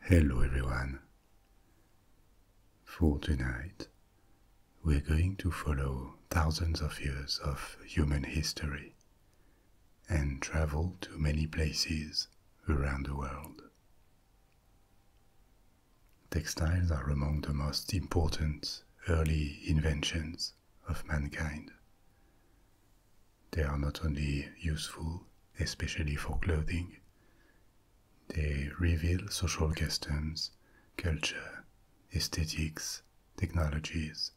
Hello everyone. For tonight, we're going to follow thousands of years of human history and travel to many places around the world. Textiles are among the most important early inventions of mankind. They are not only useful, especially for clothing, they reveal social customs, culture, aesthetics, technologies.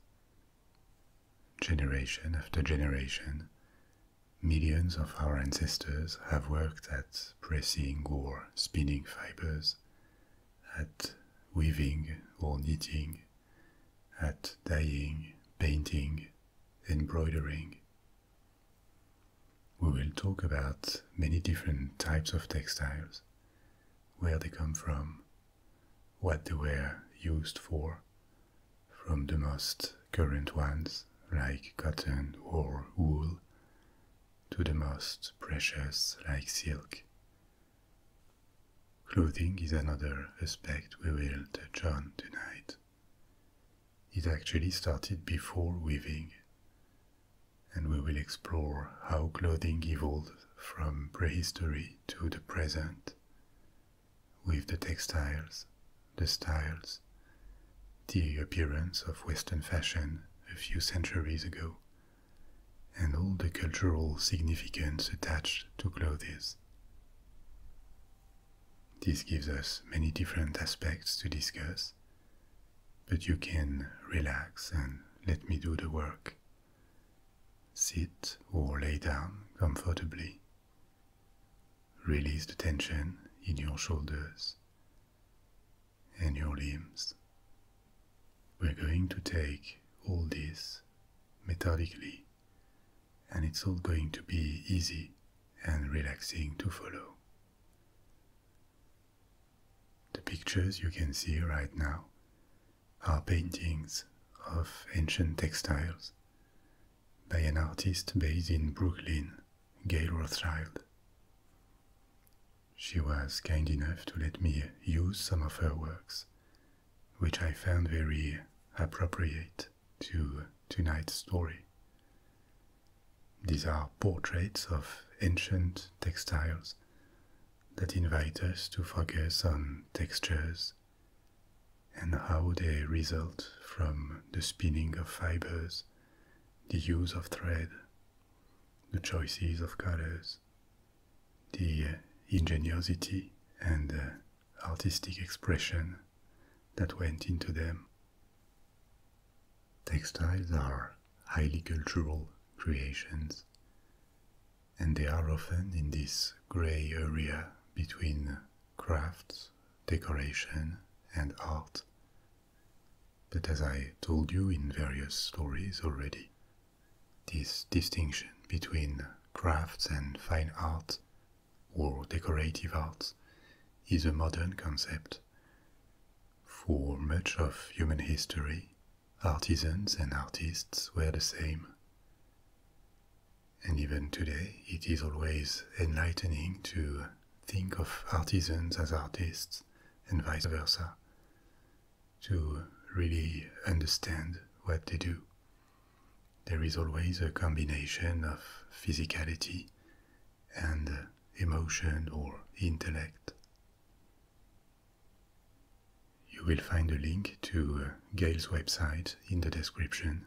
Generation after generation, millions of our ancestors have worked at pressing or spinning fibers, at weaving or knitting at dyeing, painting, embroidering. We will talk about many different types of textiles, where they come from, what they were used for, from the most current ones like cotton or wool to the most precious like silk, Clothing is another aspect we will touch on tonight. It actually started before weaving, and we will explore how clothing evolved from prehistory to the present with the textiles, the styles, the appearance of Western fashion a few centuries ago, and all the cultural significance attached to clothes. This gives us many different aspects to discuss, but you can relax and let me do the work. Sit or lay down comfortably. Release the tension in your shoulders and your limbs. We're going to take all this methodically and it's all going to be easy and relaxing to follow. The pictures you can see right now are paintings of ancient textiles by an artist based in Brooklyn, Gay Rothschild. She was kind enough to let me use some of her works which I found very appropriate to tonight's story. These are portraits of ancient textiles that invite us to focus on textures and how they result from the spinning of fibers, the use of thread, the choices of colors, the ingenuity and artistic expression that went into them. Textiles are highly cultural creations, and they are often in this grey area between crafts, decoration, and art. But as I told you in various stories already, this distinction between crafts and fine art, or decorative arts, is a modern concept. For much of human history, artisans and artists were the same. And even today, it is always enlightening to think of artisans as artists and vice versa, to really understand what they do there is always a combination of physicality and emotion or intellect. You will find a link to uh, Gail's website in the description,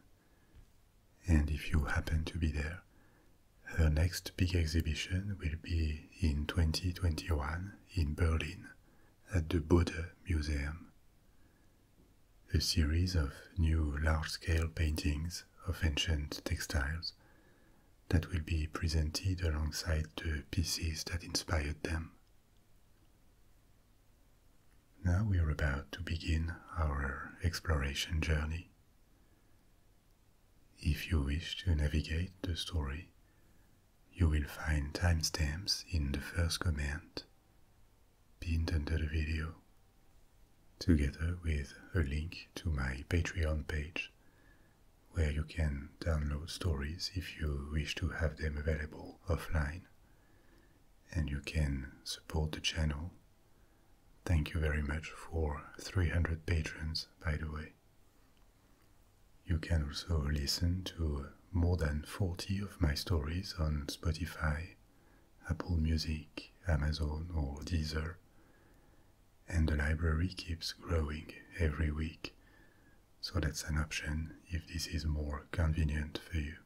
and if you happen to be there, her next big exhibition will be in 2021 in Berlin at the Bode Museum a series of new large-scale paintings of ancient textiles that will be presented alongside the pieces that inspired them. Now we are about to begin our exploration journey. If you wish to navigate the story, you will find timestamps in the first comment pinned under the video, together with a link to my Patreon page, where you can download stories if you wish to have them available offline, and you can support the channel. Thank you very much for 300 patrons, by the way. You can also listen to more than 40 of my stories on Spotify, Apple Music, Amazon, or Deezer, and the library keeps growing every week, so that's an option if this is more convenient for you.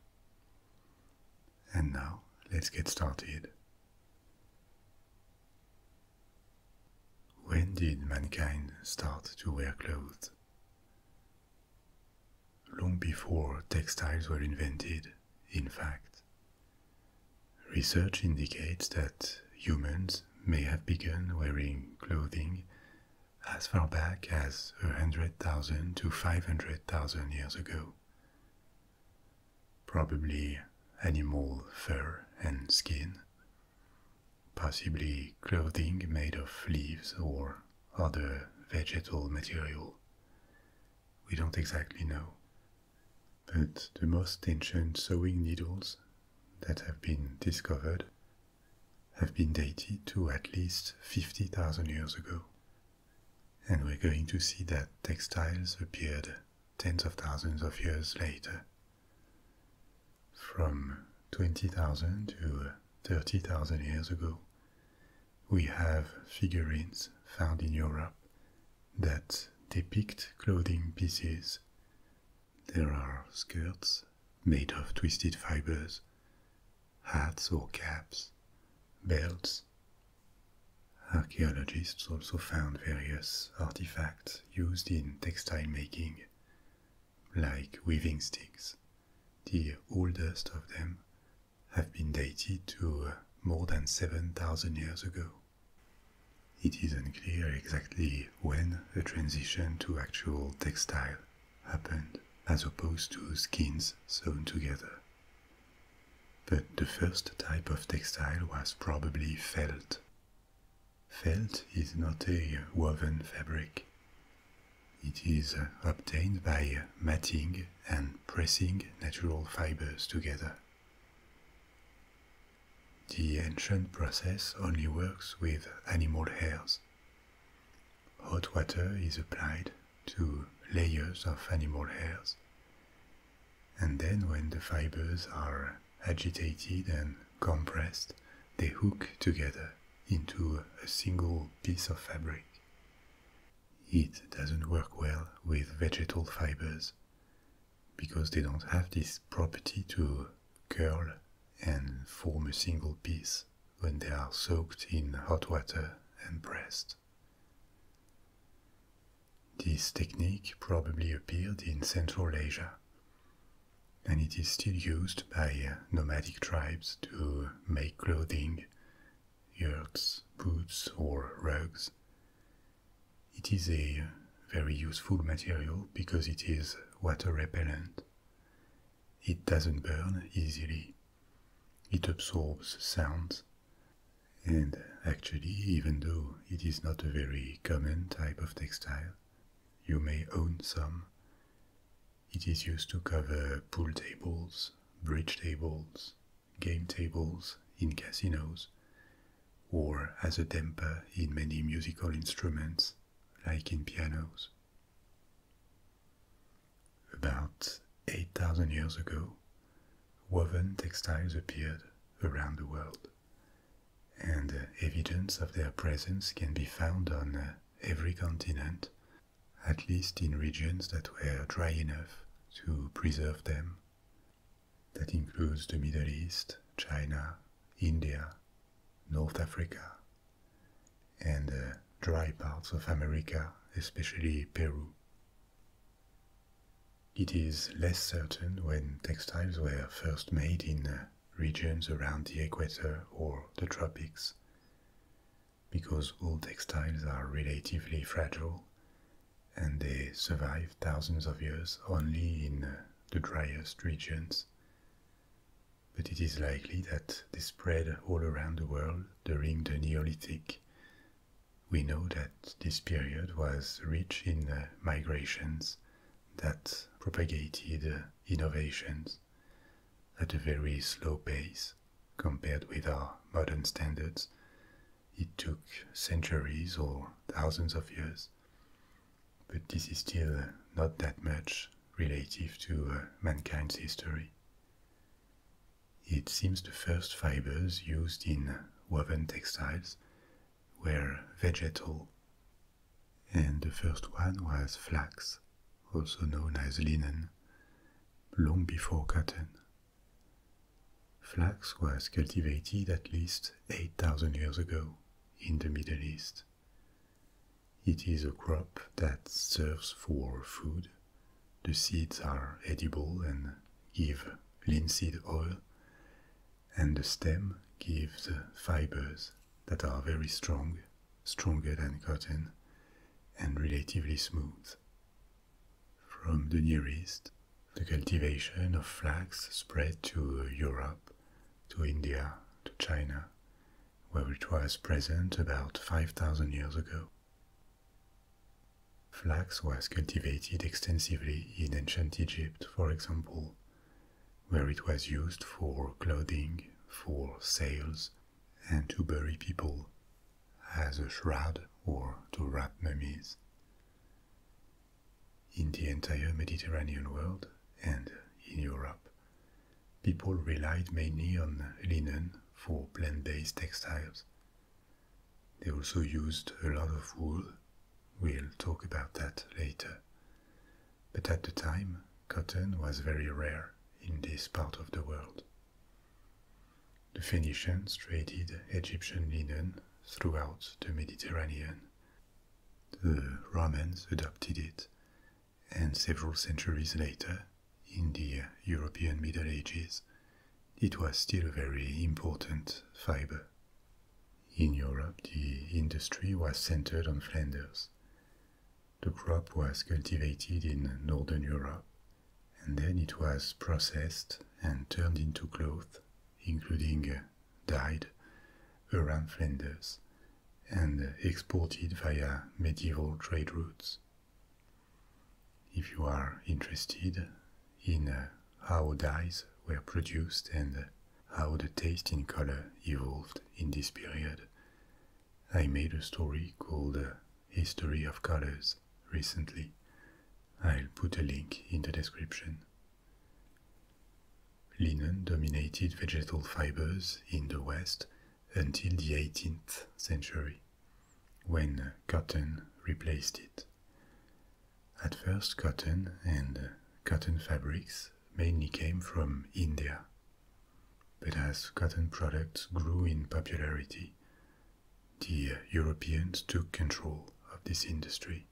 And now, let's get started. When did mankind start to wear clothes? long before textiles were invented, in fact. Research indicates that humans may have begun wearing clothing as far back as 100,000 to 500,000 years ago. Probably animal fur and skin, possibly clothing made of leaves or other vegetal material. We don't exactly know. But the most ancient sewing needles that have been discovered have been dated to at least 50,000 years ago. And we're going to see that textiles appeared tens of thousands of years later. From 20,000 to 30,000 years ago, we have figurines found in Europe that depict clothing pieces. There are skirts made of twisted fibers, hats or caps, belts. Archaeologists also found various artifacts used in textile making, like weaving sticks the oldest of them, have been dated to uh, more than 7,000 years ago. It is unclear exactly when the transition to actual textile happened, as opposed to skins sewn together. But the first type of textile was probably felt. Felt is not a woven fabric. It is obtained by matting and pressing natural fibers together. The ancient process only works with animal hairs. Hot water is applied to layers of animal hairs, and then when the fibers are agitated and compressed, they hook together into a single piece of fabric. It doesn't work well with vegetable fibers because they don't have this property to curl and form a single piece when they are soaked in hot water and pressed. This technique probably appeared in Central Asia, and it is still used by nomadic tribes to make clothing clothing, yurts, boots, or rugs. It is a very useful material because it is water repellent. It doesn't burn easily. It absorbs sounds. And actually, even though it is not a very common type of textile, you may own some. It is used to cover pool tables, bridge tables, game tables in casinos, or as a damper in many musical instruments, like in pianos. About 8,000 years ago, woven textiles appeared around the world, and uh, evidence of their presence can be found on uh, every continent at least in regions that were dry enough to preserve them. That includes the Middle East, China, India, North Africa, and uh, dry parts of America, especially Peru. It is less certain when textiles were first made in uh, regions around the equator or the tropics because all textiles are relatively fragile and they survive thousands of years only in uh, the driest regions. But it is likely that they spread all around the world during the Neolithic. We know that this period was rich in uh, migrations that propagated uh, innovations at a very slow pace compared with our modern standards. It took centuries or thousands of years, but this is still not that much relative to uh, mankind's history. It seems the first fibers used in woven textiles were vegetal, and the first one was flax also known as linen, long before cotton. Flax was cultivated at least 8,000 years ago in the Middle East. It is a crop that serves for food. The seeds are edible and give linseed oil, and the stem gives fibers that are very strong, stronger than cotton, and relatively smooth. From the Near East, the cultivation of flax spread to Europe, to India, to China, where it was present about 5,000 years ago. Flax was cultivated extensively in ancient Egypt, for example, where it was used for clothing, for sails, and to bury people as a shroud or to wrap mummies. In the entire Mediterranean world and in Europe, people relied mainly on linen for plant-based textiles. They also used a lot of wool. We'll talk about that later. But at the time, cotton was very rare in this part of the world. The Phoenicians traded Egyptian linen throughout the Mediterranean. The Romans adopted it, and several centuries later, in the European Middle Ages, it was still a very important fiber. In Europe, the industry was centered on Flanders. The crop was cultivated in Northern Europe, and then it was processed and turned into cloth, including uh, dyed, around Flanders, and exported via medieval trade routes. If you are interested in uh, how dyes were produced and uh, how the taste in color evolved in this period, I made a story called uh, History of Colors recently. I'll put a link in the description. Linen dominated vegetal fibers in the West until the 18th century, when cotton replaced it. At first, cotton and cotton fabrics mainly came from India. But as cotton products grew in popularity, the Europeans took control of this industry.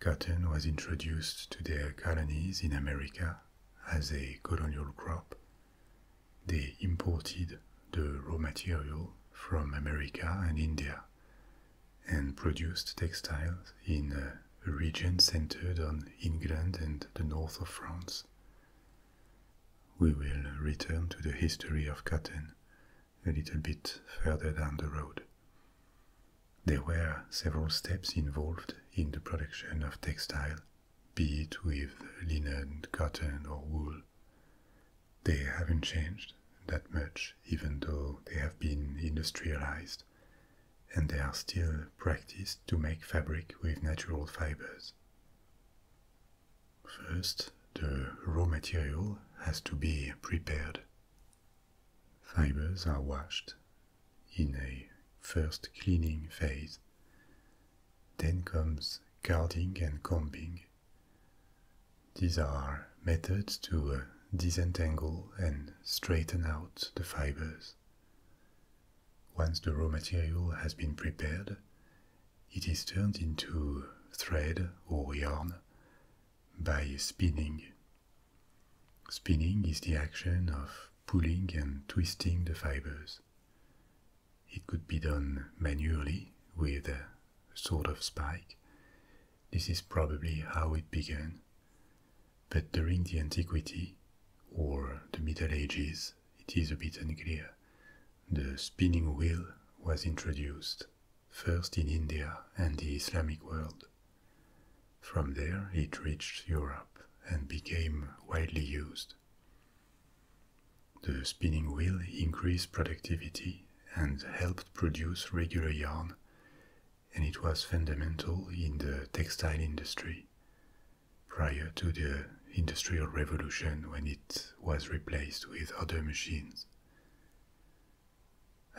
Cotton was introduced to their colonies in America as a colonial crop. They imported the raw material from America and India and produced textiles in a region centered on England and the north of France. We will return to the history of cotton a little bit further down the road. There were several steps involved in the production of textile, be it with linen, cotton, or wool. They haven't changed that much, even though they have been industrialized, and they are still practiced to make fabric with natural fibers. First, the raw material has to be prepared. Fibers are washed in a first cleaning phase. Then comes carding and combing. These are methods to uh, disentangle and straighten out the fibers. Once the raw material has been prepared, it is turned into thread or yarn by spinning. Spinning is the action of pulling and twisting the fibers. It could be done manually with a sort of spike. This is probably how it began. But during the antiquity or the Middle Ages, it is a bit unclear, the spinning wheel was introduced first in India and the Islamic world. From there, it reached Europe and became widely used. The spinning wheel increased productivity and helped produce regular yarn, and it was fundamental in the textile industry, prior to the Industrial Revolution when it was replaced with other machines.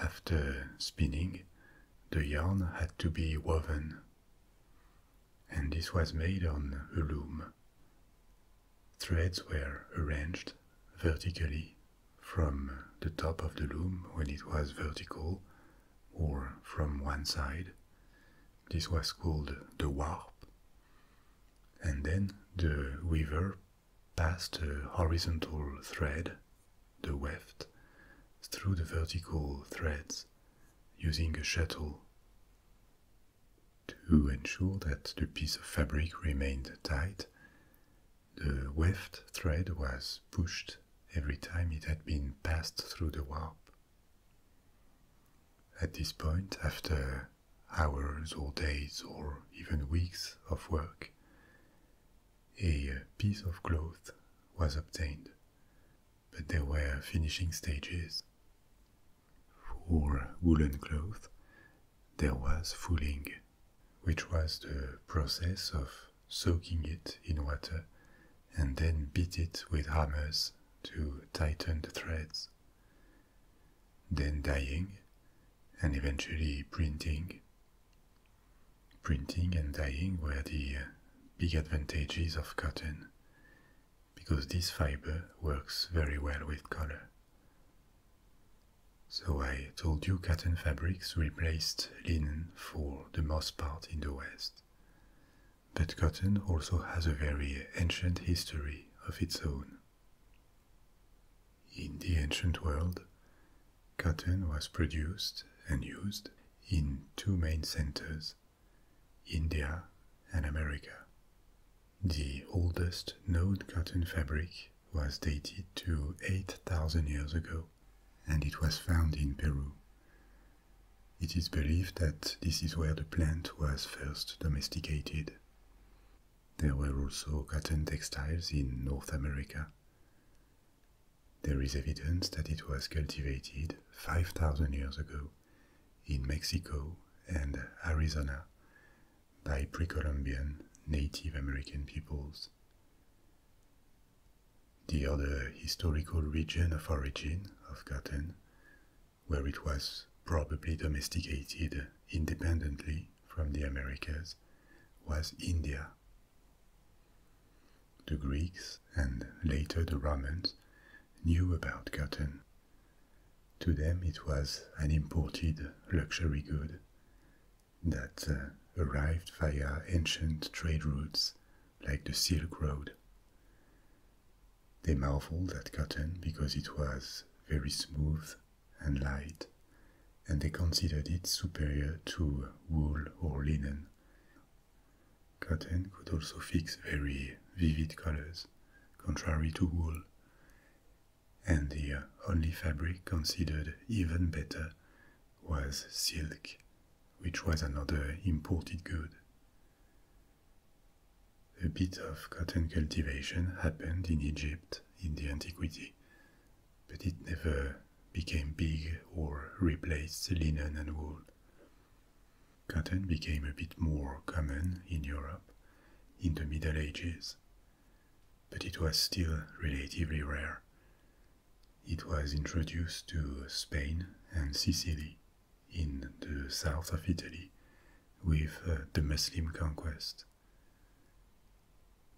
After spinning, the yarn had to be woven, and this was made on a loom. Threads were arranged vertically from the top of the loom when it was vertical or from one side. This was called the warp and then the weaver passed a horizontal thread, the weft, through the vertical threads using a shuttle. To ensure that the piece of fabric remained tight, the weft thread was pushed every time it had been passed through the warp. At this point, after hours or days or even weeks of work, a piece of cloth was obtained, but there were finishing stages. For woolen cloth, there was fooling, which was the process of soaking it in water and then beat it with hammers to tighten the threads then dying, and eventually printing. Printing and dying were the uh, big advantages of cotton because this fiber works very well with color. So I told you cotton fabrics replaced linen for the most part in the West past. But cotton also has a very ancient history of its own. In the ancient world, cotton was produced and used in two main centers India and America. The oldest known cotton fabric was dated to 8,000 years ago, and it was found in Peru, it is believed that this is where the plant was first domesticated. There were also cotton textiles in North America. There is evidence that it was cultivated 5,000 years ago in Mexico and Arizona by pre-Columbian Native American peoples. The other historical region of origin of cotton where it was probably domesticated independently from the Americas, was India. The Greeks and later the Romans knew about cotton. To them, it was an imported luxury good that uh, arrived via ancient trade routes like the Silk Road. They marveled at cotton because it was very smooth and light, and they considered it superior to wool or linen. Cotton could also fix very vivid colors, contrary to wool, and the only fabric considered even better was silk, which was another imported good. A bit of cotton cultivation happened in Egypt in the antiquity, but it never became big or replaced linen and wool. Cotton became a bit more common in Europe in the Middle Ages, but it was still relatively rare. It was introduced to Spain and Sicily in the south of Italy with uh, the Muslim conquest.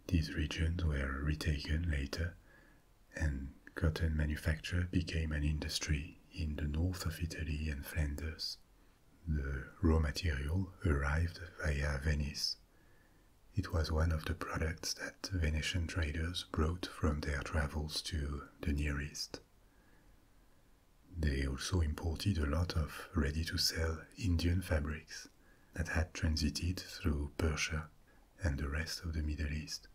These regions were retaken later, and cotton manufacture became an industry in the north of Italy and Flanders. The raw material arrived via Venice. It was one of the products that Venetian traders brought from their travels to the Near East. They also imported a lot of ready to sell Indian fabrics that had transited through Persia and the rest of the Middle East.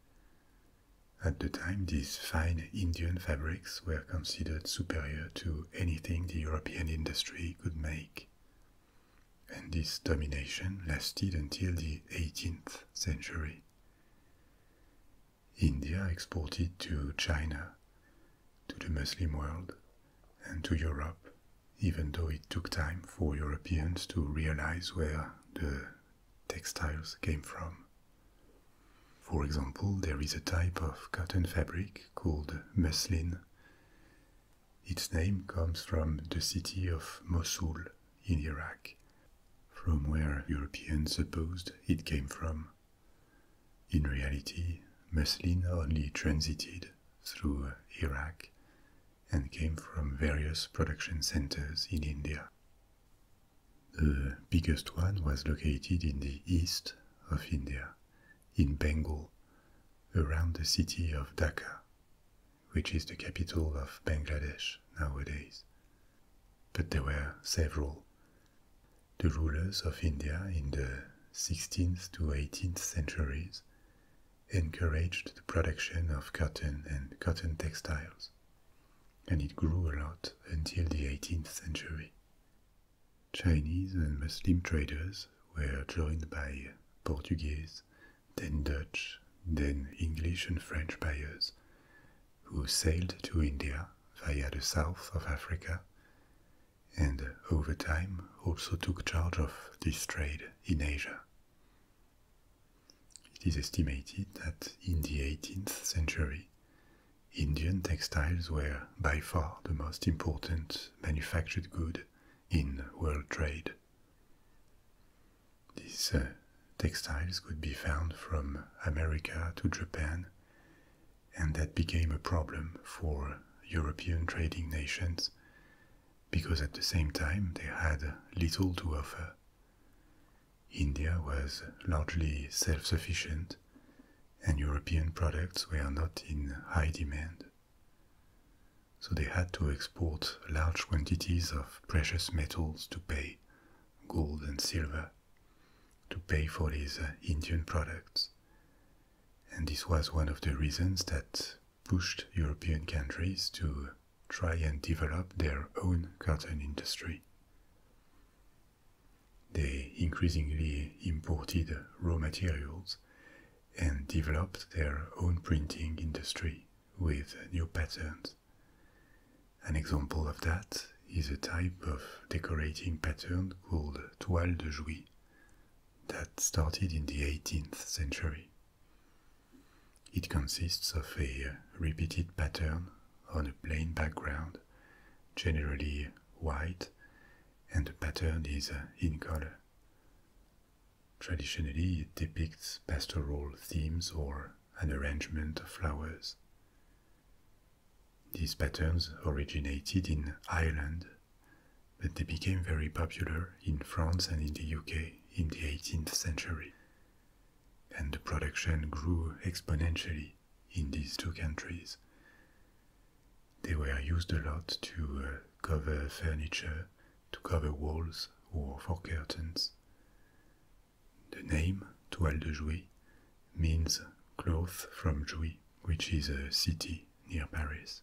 At the time, these fine Indian fabrics were considered superior to anything the European industry could make. And this domination lasted until the 18th century. India exported to China, to the Muslim world, and to Europe, even though it took time for Europeans to realize where the textiles came from. For example, there is a type of cotton fabric called muslin. Its name comes from the city of Mosul in Iraq, from where Europeans supposed it came from. In reality, muslin only transited through Iraq and came from various production centers in India. The biggest one was located in the east of India, in Bengal, around the city of Dhaka, which is the capital of Bangladesh nowadays but there were several. The rulers of India in the 16th to 18th centuries encouraged the production of cotton and cotton textiles, and it grew a lot until the 18th century. Chinese and Muslim traders were joined by Portuguese, then Dutch, then English and French buyers, who sailed to India via the south of Africa and over time also took charge of this trade in Asia. It is estimated that in the 18th century, Indian textiles were by far the most important manufactured good in world trade. These uh, textiles could be found from America to Japan and that became a problem for European trading nations because at the same time they had little to offer. India was largely self sufficient, and European products were not in high demand. So they had to export large quantities of precious metals to pay gold and silver to pay for these uh, Indian products. And this was one of the reasons that pushed European countries to try and develop their own cotton industry. They increasingly imported raw materials and developed their own printing industry with new patterns. An example of that is a type of decorating pattern called toile de jouy that started in the 18th century. It consists of a repeated pattern on a plain background, generally white, and the pattern is uh, in color. Traditionally, it depicts pastoral themes or an arrangement of flowers. These patterns originated in Ireland, but they became very popular in France and in the UK in the 18th century. And the production grew exponentially in these two countries. They were used a lot to uh, cover furniture, to cover walls, or for curtains. The name, toile de jouy, means cloth from Jouy, which is a city near Paris.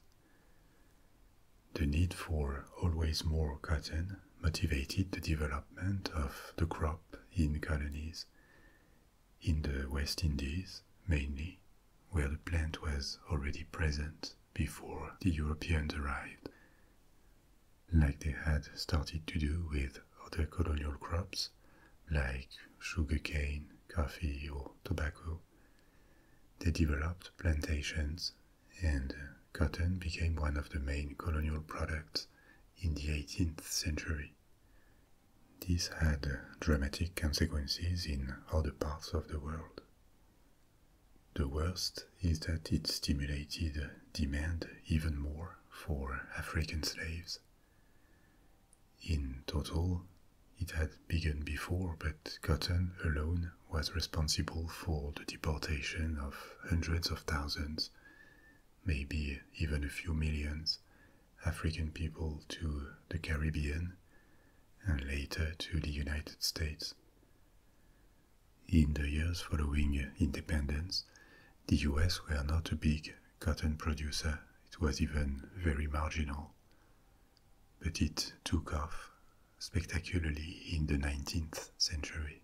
The need for always more cotton motivated the development of the crop in colonies, in the West Indies mainly, where the plant was already present before the Europeans arrived, like they had started to do with other colonial crops like sugarcane, coffee, or tobacco. They developed plantations, and cotton became one of the main colonial products in the 18th century. This had dramatic consequences in other parts of the world. The worst is that it stimulated demand even more for African slaves in total, it had begun before, but Cotton alone was responsible for the deportation of hundreds of thousands, maybe even a few millions, African people to the Caribbean and later to the United States. In the years following independence, the US were not a big cotton producer, it was even very marginal. But it took off spectacularly in the 19th century.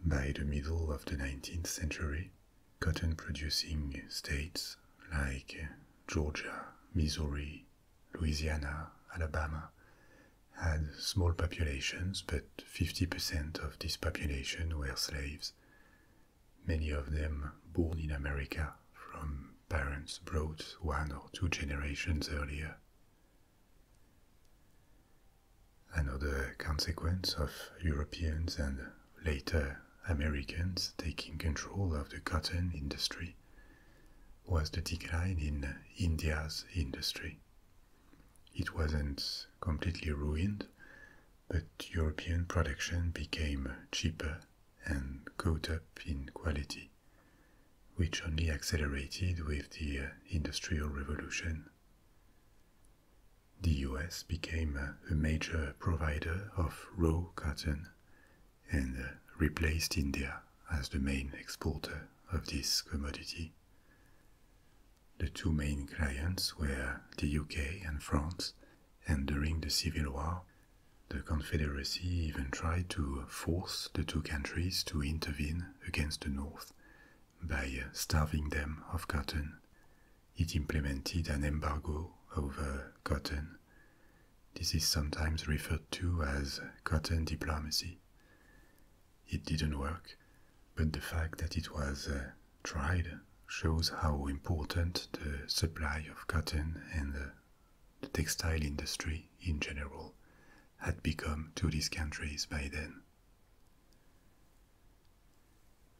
By the middle of the 19th century, cotton producing states like Georgia, Missouri, Louisiana, Alabama had small populations, but 50% of this population were slaves, many of them born in America from parents brought one or two generations earlier. Another consequence of Europeans and later Americans taking control of the cotton industry was the decline in India's industry. It wasn't completely ruined, but European production became cheaper and caught up in quality, which only accelerated with the uh, Industrial Revolution. The US became uh, a major provider of raw cotton and uh, replaced India as the main exporter of this commodity. The two main clients were the UK and France, and during the Civil War, the Confederacy even tried to force the two countries to intervene against the North by starving them of cotton. It implemented an embargo over cotton. This is sometimes referred to as cotton diplomacy. It didn't work, but the fact that it was uh, tried shows how important the supply of cotton and the, textile industry in general had become to these countries by then.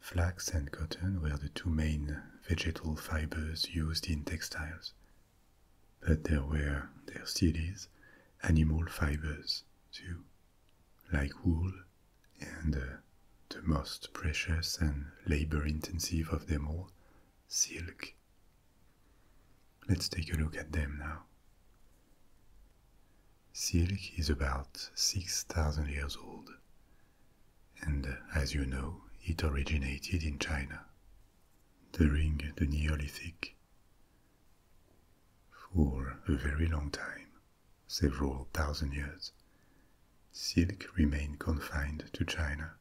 Flax and cotton were the two main vegetal fibers used in textiles, but there were there still is, animal fibers too, like wool, and uh, the most precious and labor intensive of them all, silk. Let's take a look at them now. Silk is about 6,000 years old, and uh, as you know, it originated in China during the Neolithic. For a very long time, several thousand years, silk remained confined to China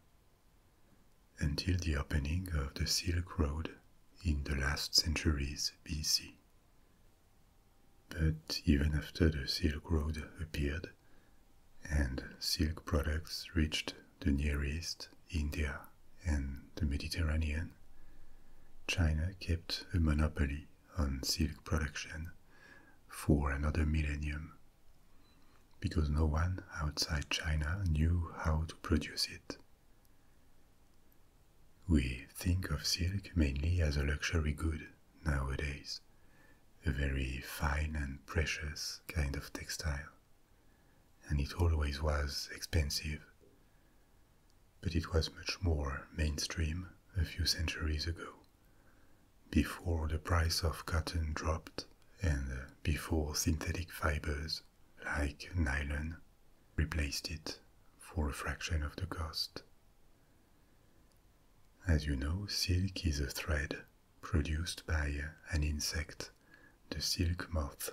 until the opening of the Silk Road in the last centuries BC. But even after the Silk Road appeared and silk products reached the Near East, India, and the Mediterranean, China kept a monopoly on silk production for another millennium because no one outside China knew how to produce it. We think of silk mainly as a luxury good nowadays, a very fine and precious kind of textile, and it always was expensive. But it was much more mainstream a few centuries ago before the price of cotton dropped and before synthetic fibers like nylon replaced it for a fraction of the cost. As you know, silk is a thread produced by an insect, the silk moth,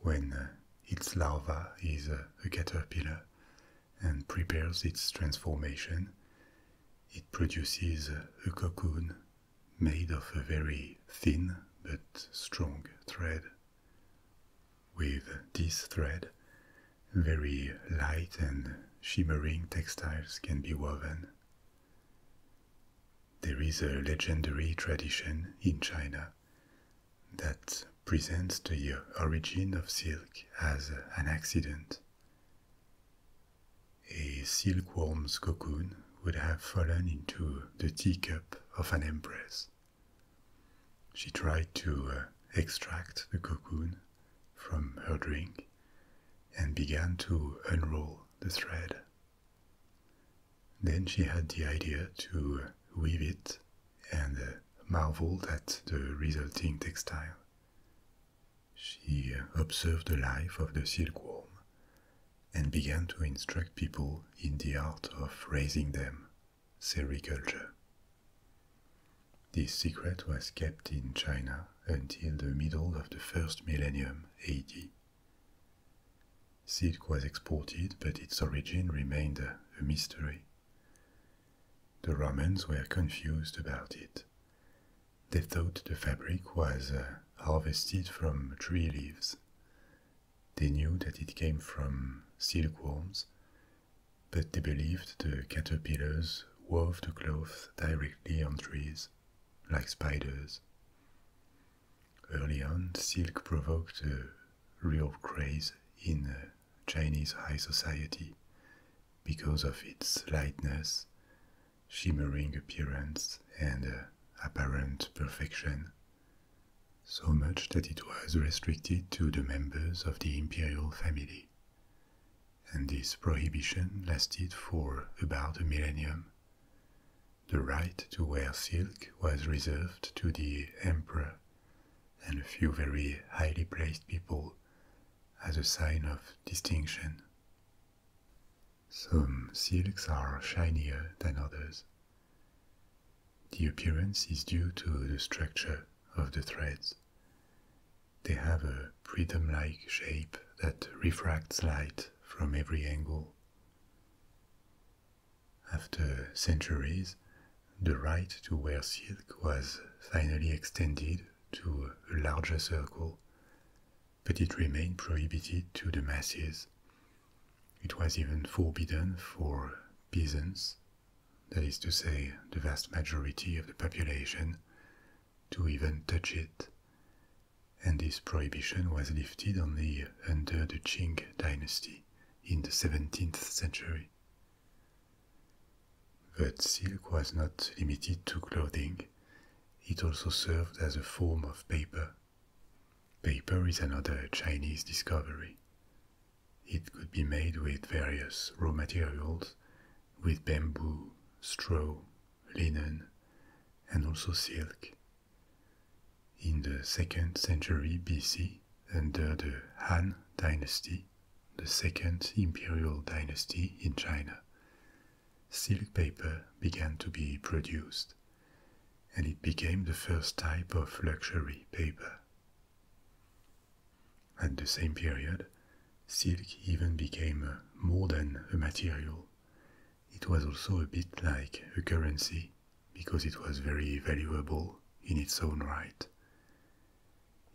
when its larva is a caterpillar and prepares its transformation. It produces a cocoon made of a very thin but strong thread. With this thread, very light and shimmering textiles can be woven. There is a legendary tradition in China that presents the origin of silk as an accident. A silkworm's cocoon would have fallen into the teacup of an empress. She tried to uh, extract the cocoon from her drink and began to unroll the thread. Then she had the idea to weave it and uh, marveled at the resulting textile. She observed the life of the silkworm and began to instruct people in the art of raising them, sericulture. This secret was kept in China until the middle of the first millennium AD. Silk was exported, but its origin remained a mystery. The Romans were confused about it. They thought the fabric was uh, harvested from tree leaves. They knew that it came from silkworms, but they believed the caterpillars wove the cloth directly on trees, like spiders. Early on, silk provoked a real craze in uh, Chinese high society because of its lightness, shimmering appearance, and uh, apparent perfection, so much that it was restricted to the members of the imperial family. And this prohibition lasted for about a millennium. The right to wear silk was reserved to the emperor, and a few very highly placed people as a sign of distinction. Some silks are shinier than others. The appearance is due to the structure of the threads. They have a prism like shape that refracts light from every angle. After centuries, the right to wear silk was finally extended to a larger circle, but it remained prohibited to the masses. It was even forbidden for peasants, that is to say, the vast majority of the population, to even touch it. And this prohibition was lifted only under the Qing dynasty in the 17th century. But silk was not limited to clothing, it also served as a form of paper. Paper is another Chinese discovery. It could be made with various raw materials, with bamboo, straw, linen, and also silk. In the 2nd century BC, under the Han dynasty, the second imperial dynasty in China, silk paper began to be produced, and it became the first type of luxury paper. At the same period, silk even became more than a material. It was also a bit like a currency because it was very valuable in its own right.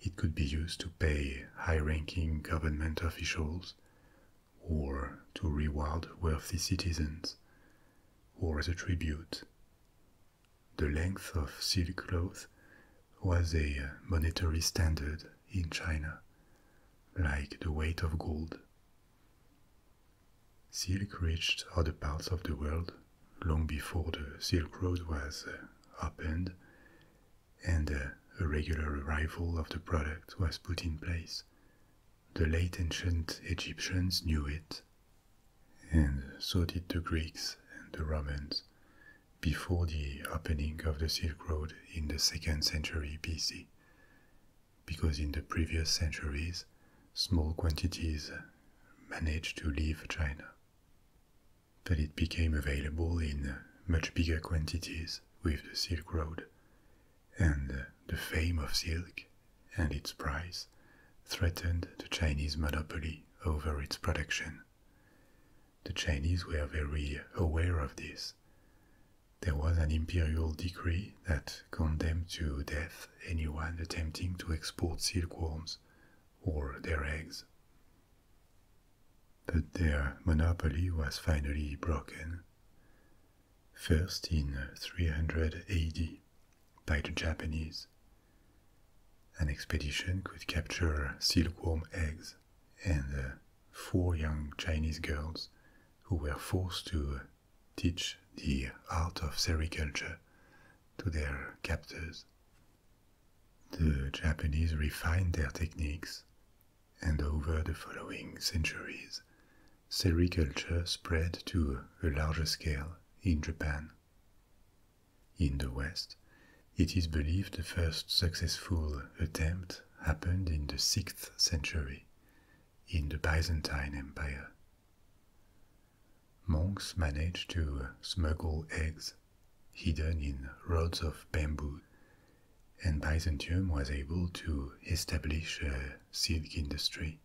It could be used to pay high ranking government officials, or to reward wealthy citizens, or as a tribute. The length of silk cloth was a monetary standard in China, like the weight of gold. Silk reached other parts of the world long before the Silk Road was opened, and a regular arrival of the product was put in place. The late ancient Egyptians knew it, and so did the Greeks and the Romans before the opening of the Silk Road in the second century BC, because in the previous centuries, small quantities managed to leave China. That it became available in much bigger quantities with the Silk Road, and the fame of silk and its price threatened the Chinese monopoly over its production. The Chinese were very aware of this. There was an imperial decree that condemned to death anyone attempting to export silkworms or their eggs but their monopoly was finally broken. First in 300 AD by the Japanese. An expedition could capture silkworm eggs and uh, four young Chinese girls who were forced to teach the art of sericulture to their captors the Japanese refined their techniques, and over the following centuries, sericulture spread to a larger scale in Japan. In the West, it is believed the first successful attempt happened in the 6th century in the Byzantine Empire. Monks managed to smuggle eggs hidden in rods of bamboo, and Byzantium was able to establish a silk industry.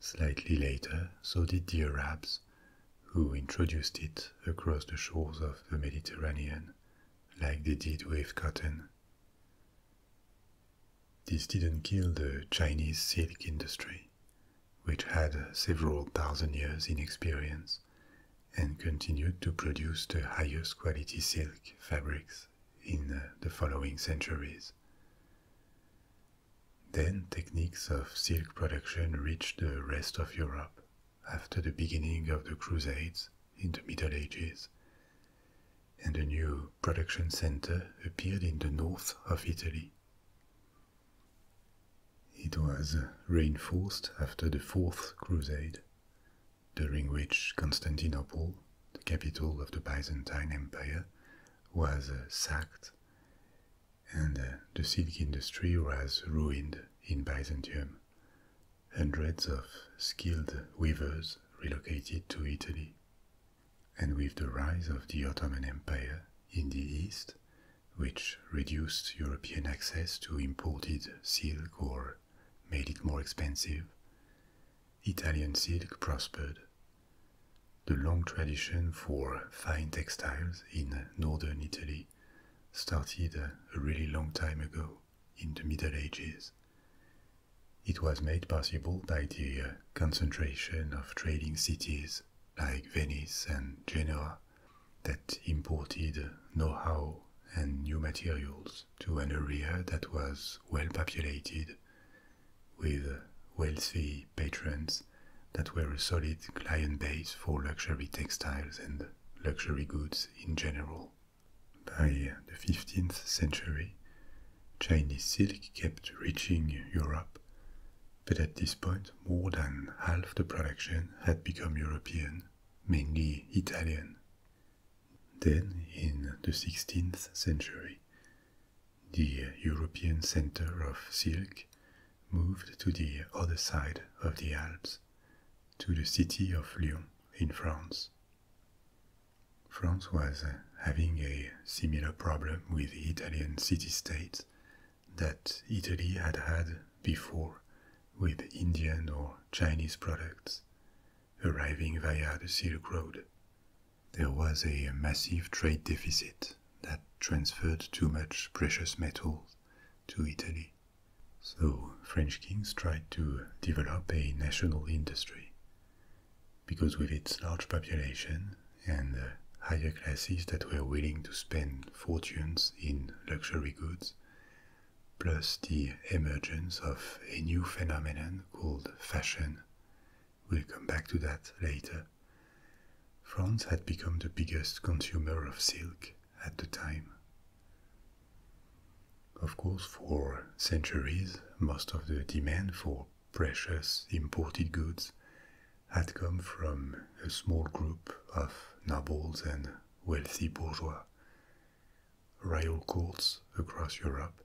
Slightly later, so did the Arabs, who introduced it across the shores of the Mediterranean, like they did with cotton. This didn't kill the Chinese silk industry, which had several thousand years in experience and continued to produce the highest quality silk fabrics in uh, the following centuries. Then techniques of silk production reached the rest of Europe after the beginning of the Crusades in the Middle Ages, and a new production center appeared in the north of Italy. It was reinforced after the Fourth Crusade, during which Constantinople, the capital of the Byzantine Empire, was uh, sacked and uh, the silk industry was ruined in Byzantium. Hundreds of skilled weavers relocated to Italy. And with the rise of the Ottoman Empire in the east, which reduced European access to imported silk or made it more expensive, Italian silk prospered. The long tradition for fine textiles in northern Italy started a really long time ago in the Middle Ages. It was made possible by the uh, concentration of trading cities like Venice and Genoa that imported know how and new materials to an area that was well populated with wealthy patrons that were a solid client base for luxury textiles and luxury goods in general. By the 15th century, Chinese silk kept reaching Europe, but at this point more than half the production had become European mainly Italian. Then, in the 16th century, the European center of silk moved to the other side of the Alps, to the city of Lyon in France. France was having a similar problem with the Italian city states that Italy had had before with Indian or Chinese products arriving via the Silk Road. There was a massive trade deficit that transferred too much precious metals to Italy. So French kings tried to develop a national industry because with its large population and higher classes that were willing to spend fortunes in luxury goods, plus the emergence of a new phenomenon called fashion. We'll come back to that later. France had become the biggest consumer of silk at the time. Of course, for centuries, most of the demand for precious imported goods had come from a small group of nobles and wealthy bourgeois. Royal courts across Europe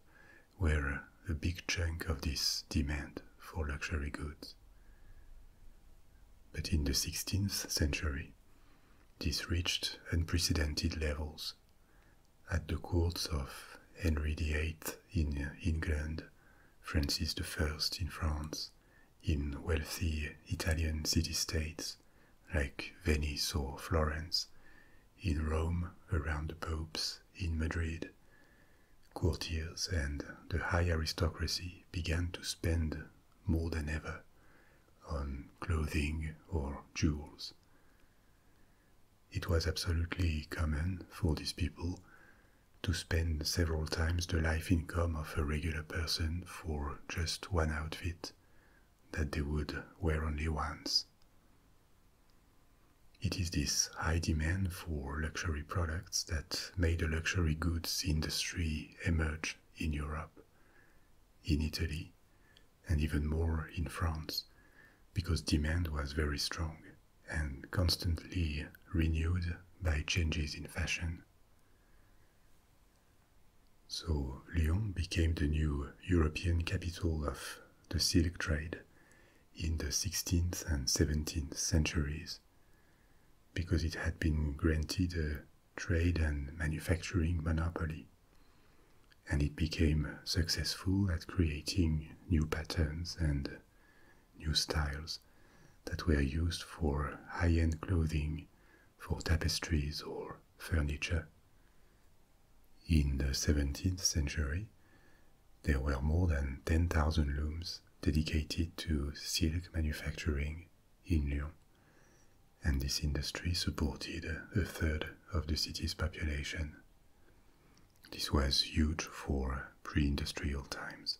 were a big chunk of this demand for luxury goods. But in the 16th century, this reached unprecedented levels. At the courts of Henry VIII in England, Francis I in France, in wealthy Italian city-states like Venice or Florence, in Rome around the popes, in Madrid. Courtiers and the high aristocracy began to spend more than ever on clothing or jewels. It was absolutely common for these people to spend several times the life income of a regular person for just one outfit that they would wear only once. It is this high demand for luxury products that made the luxury goods industry emerge in Europe, in Italy, and even more in France, because demand was very strong and constantly renewed by changes in fashion. So Lyon became the new European capital of the silk trade in the 16th and 17th centuries because it had been granted a trade and manufacturing monopoly. And it became successful at creating new patterns and new styles that were used for high end clothing for tapestries or furniture. In the 17th century, there were more than 10,000 looms dedicated to silk manufacturing in Lyon, and this industry supported a third of the city's population. This was huge for pre industrial times.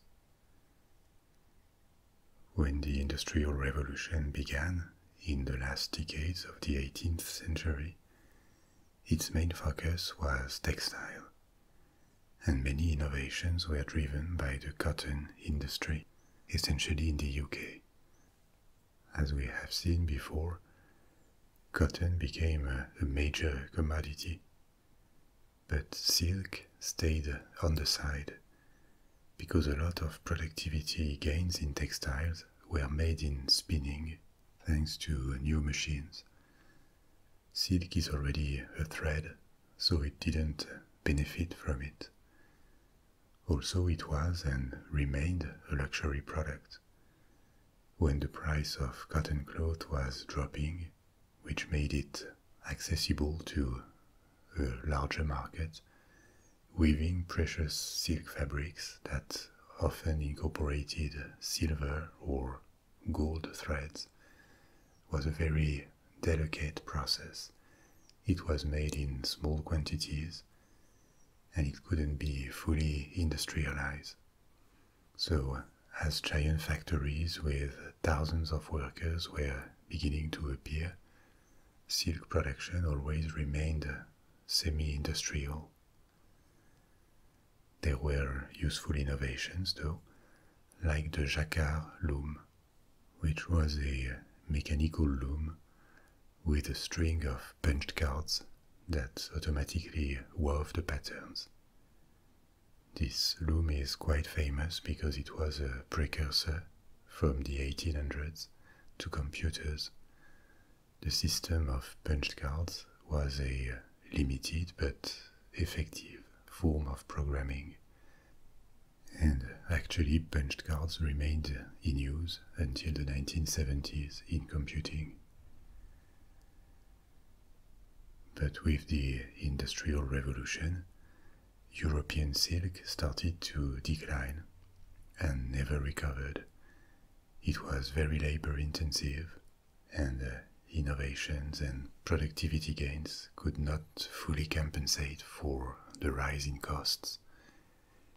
When the Industrial Revolution began in the last decades of the 18th century, its main focus was textile, and many innovations were driven by the cotton industry, essentially in the UK. As we have seen before, cotton became a, major commodity, but silk stayed on the side because a lot of productivity gains in textiles were made in spinning thanks to new machines. Silk is already a thread, so it didn't benefit from it. Also, it was and remained a luxury product. When the price of cotton cloth was dropping, which made it accessible to a larger market, weaving precious silk fabrics that often incorporated silver or gold threads was a very delicate process. It was made in small quantities and it couldn't be fully industrialized. So, as giant factories with thousands of workers were beginning to appear, silk production always remained semi industrial. There were useful innovations though, like the jacquard loom, which was a mechanical loom with a string of punched cards that automatically wove the patterns. This loom is quite famous because it was a precursor from the 1800s to computers. The system of punch cards was a limited but effective form of programming. And actually, punch cards remained in use until the 1970s in computing. But with the Industrial Revolution, European silk started to decline and never recovered. It was very labor intensive, and uh, innovations and productivity gains could not fully compensate for the rise in costs.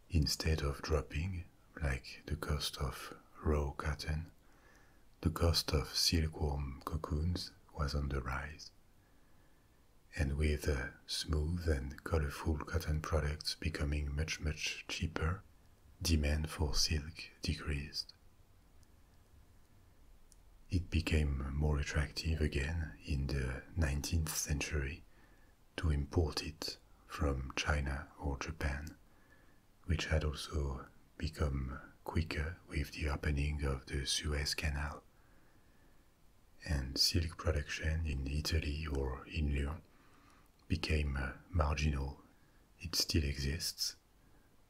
Instead of dropping, like the cost of raw cotton, the cost of silkworm cocoons was on the rise and with the smooth and colorful cotton products becoming much, much cheaper, demand for silk decreased. It became more attractive again in the 19th century to import it from China or Japan, which had also become quicker with the opening of the Suez Canal and silk production in Italy or in Lyon became uh, marginal. It still exists,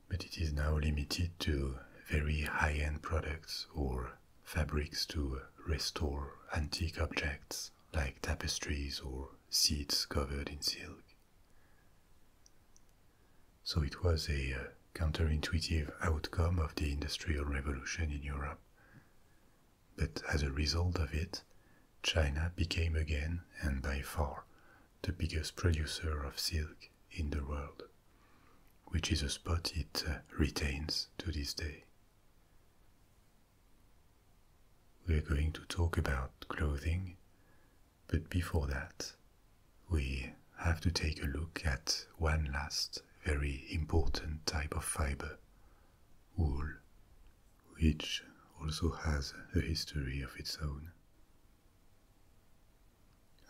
but it is now limited to very high end products or fabrics to restore antique objects like tapestries or seats covered in silk. So it was a uh, counterintuitive outcome of the Industrial Revolution in Europe. But as a result of it, China became again, and by far, the biggest producer of silk in the world, which is a spot it uh, retains to this day. We are going to talk about clothing, but before that, we have to take a look at one last very important type of fiber, wool, which also has a history of its own.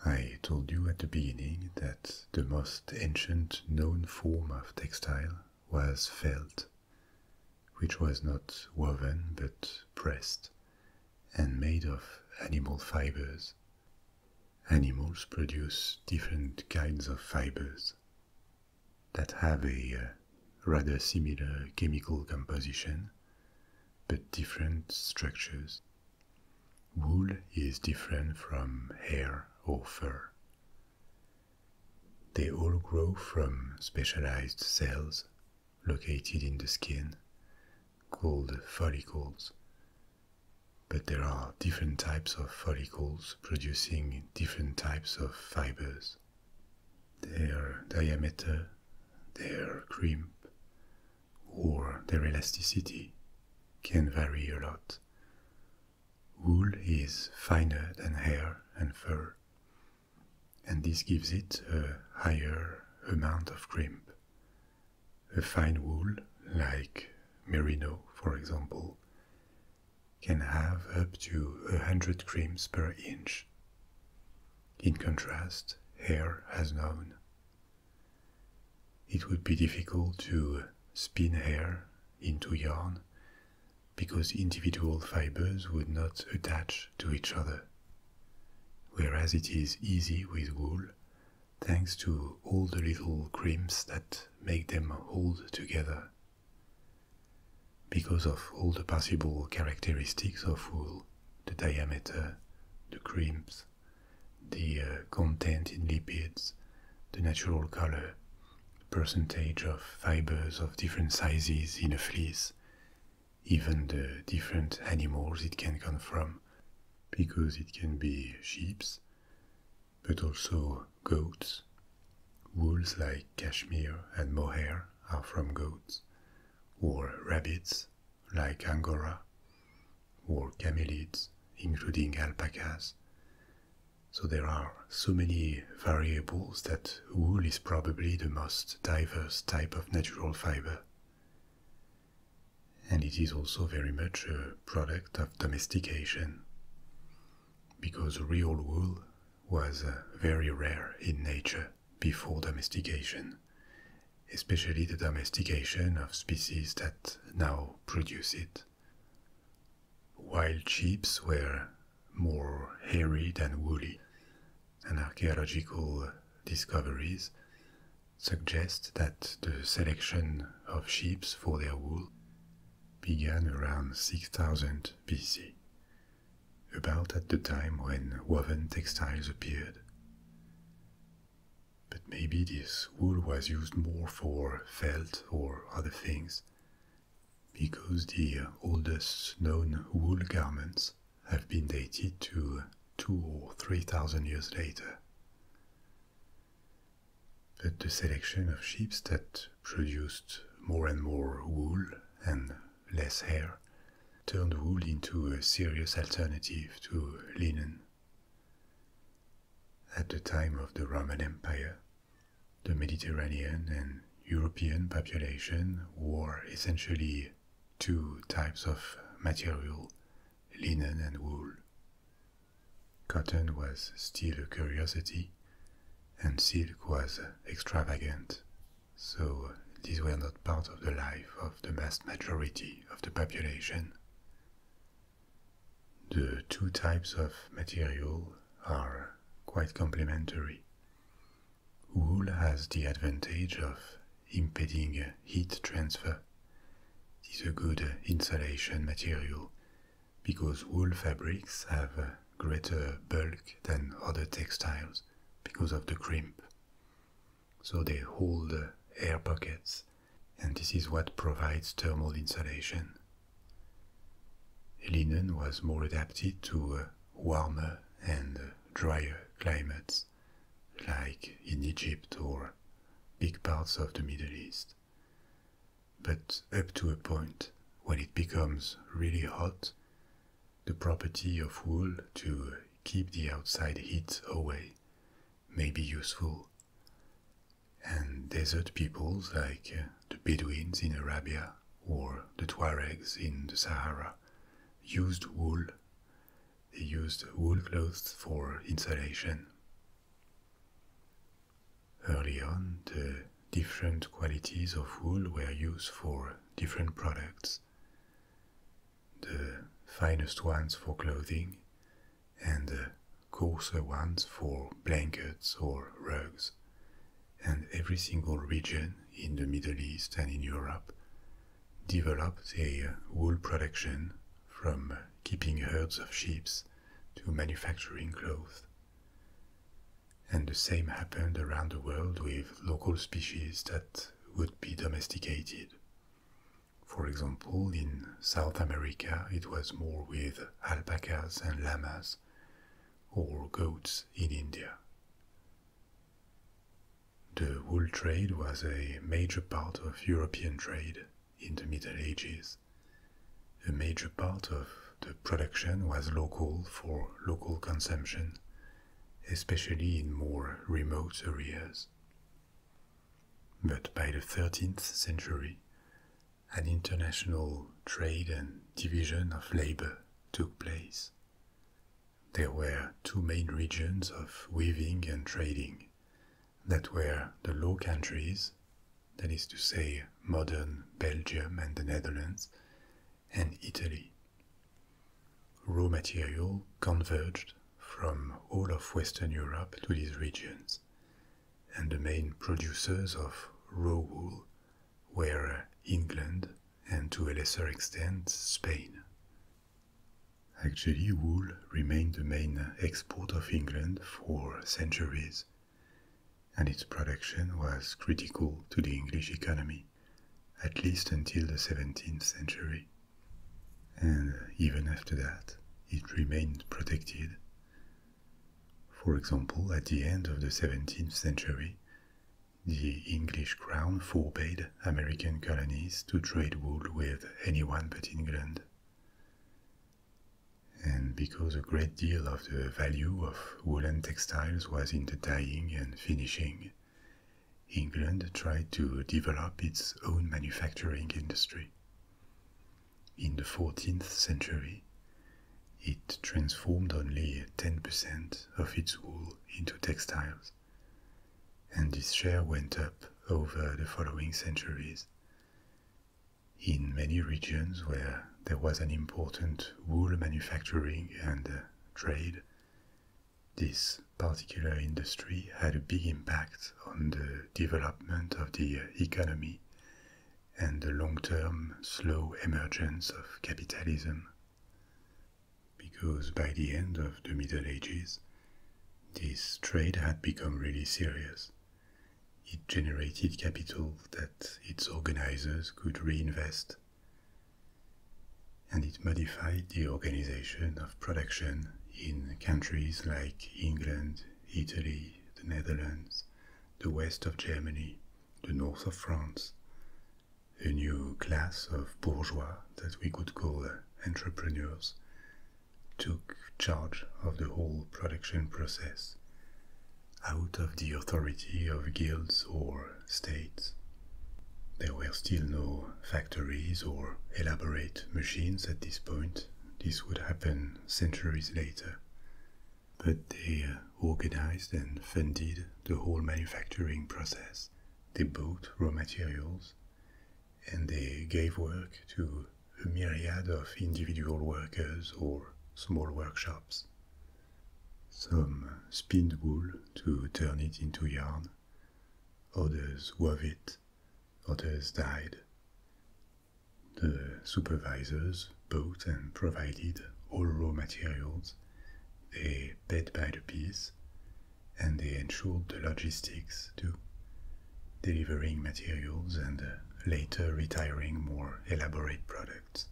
I told you at the beginning that the most ancient known form of textile was felt, which was not woven but pressed and made of animal fibers animals produce different kinds of fibers that have a uh, rather similar chemical composition but different structures. Wool is different from hair or fur. They all grow from specialized cells located in the skin called follicles but there are different types of follicles producing different types of fibers. Their diameter, their crimp, or their elasticity can vary a lot. Wool is finer than hair and fur, and this gives it a higher amount of crimp. A fine wool, like merino, for example, can have up to 100 crimps per inch. In contrast, hair has none. It would be difficult to spin hair into yarn because individual fibers would not attach to each other. Whereas it is easy with wool thanks to all the little crimps that make them hold together. Because of all the possible characteristics of wool, the diameter, the crimps, the uh, content in lipids, the natural color, percentage of fibers of different sizes in a fleece, even the different animals it can come from, because it can be sheep's but also goats. Wools like cashmere and mohair are from goats, or rabbits like angora, or camelids, including alpacas. So there are so many variables that wool is probably the most diverse type of natural fiber and it is also very much a product of domestication, because real wool was uh, very rare in nature before domestication, especially the domestication of species that now produce it. While sheeps were more hairy than woolly, and archaeological discoveries suggest that the selection of sheep for their wool began around 6000 BC, about at the time when woven textiles appeared. But maybe this wool was used more for felt or other things, because the oldest known wool garments have been dated to two or three thousand years later. But the selection of sheep that produced more and more wool and less hair turned wool into a serious alternative to linen. At the time of the Roman Empire, the Mediterranean and European population wore essentially two types of material linen and wool. Cotton was still a curiosity, and silk was extravagant, so uh, these were not part of the life of the vast majority of the population. The two types of material are quite complementary. Wool has the advantage of impeding heat transfer. It is a good insulation material because wool fabrics have greater bulk than other textiles because of the crimp. So they hold air pockets, and this is what provides thermal insulation. Linen was more adapted to uh, warmer and drier climates, like in Egypt or big parts of the Middle East. But up to a point, when it becomes really hot, the property of wool to keep the outside heat away may be useful. And desert peoples like uh, the Bedouins in Arabia or the Tuaregs in the Sahara used wool. They used wool cloths for insulation. Early on, the different qualities of wool were used for different products. The finest ones for clothing, and the coarser ones for blankets or rugs. And every single region in the Middle East and in Europe developed their wool production from keeping herds of sheep to manufacturing cloth. And the same happened around the world with local species that would be domesticated. For example, in South America, it was more with alpacas and llamas, or goats in India. The wool trade was a major part of European trade in the Middle Ages, a major part of the production was local for local consumption, especially in more remote areas. But by the 13th century, an international trade and division of labor took place. There were two main regions of weaving and trading that were the Low Countries, that is to say, modern Belgium and the Netherlands, and Italy. Raw material converged from all of Western Europe to these regions, and the main producers of raw wool were England and to a lesser extent Spain. Actually, wool remained the main export of England for centuries and its production was critical to the English economy, at least until the 17th century. And uh, even after that, it remained protected. For example, at the end of the 17th century, the English crown forbade American colonies to trade wool with anyone but England. And because a great deal of the value of woolen textiles was in the dyeing and finishing, England tried to develop its own manufacturing industry. In the 14th century, it transformed only 10% of its wool into textiles, and this share went up over the following centuries. In many regions where there was an important wool manufacturing and uh, trade, this particular industry had a big impact on the development of the uh, economy and the long term slow emergence of capitalism. Because by the end of the Middle Ages, this trade had become really serious it generated capital that its organizers could reinvest, and it modified the organization of production in countries like England, Italy, the Netherlands, the west of Germany, the north of France, a new class of bourgeois that we could call entrepreneurs took charge of the whole production process out of the authority of guilds or states. There were still no factories or elaborate machines at this point. This would happen centuries later. But they uh, organized and funded the whole manufacturing process. They bought raw materials and they gave work to a myriad of individual workers or small workshops. Some spun wool to turn it into yarn, others wove it, others dyed. The supervisors bought and provided all raw materials, they paid by the piece, and they ensured the logistics too, delivering materials and uh, later retiring more elaborate products.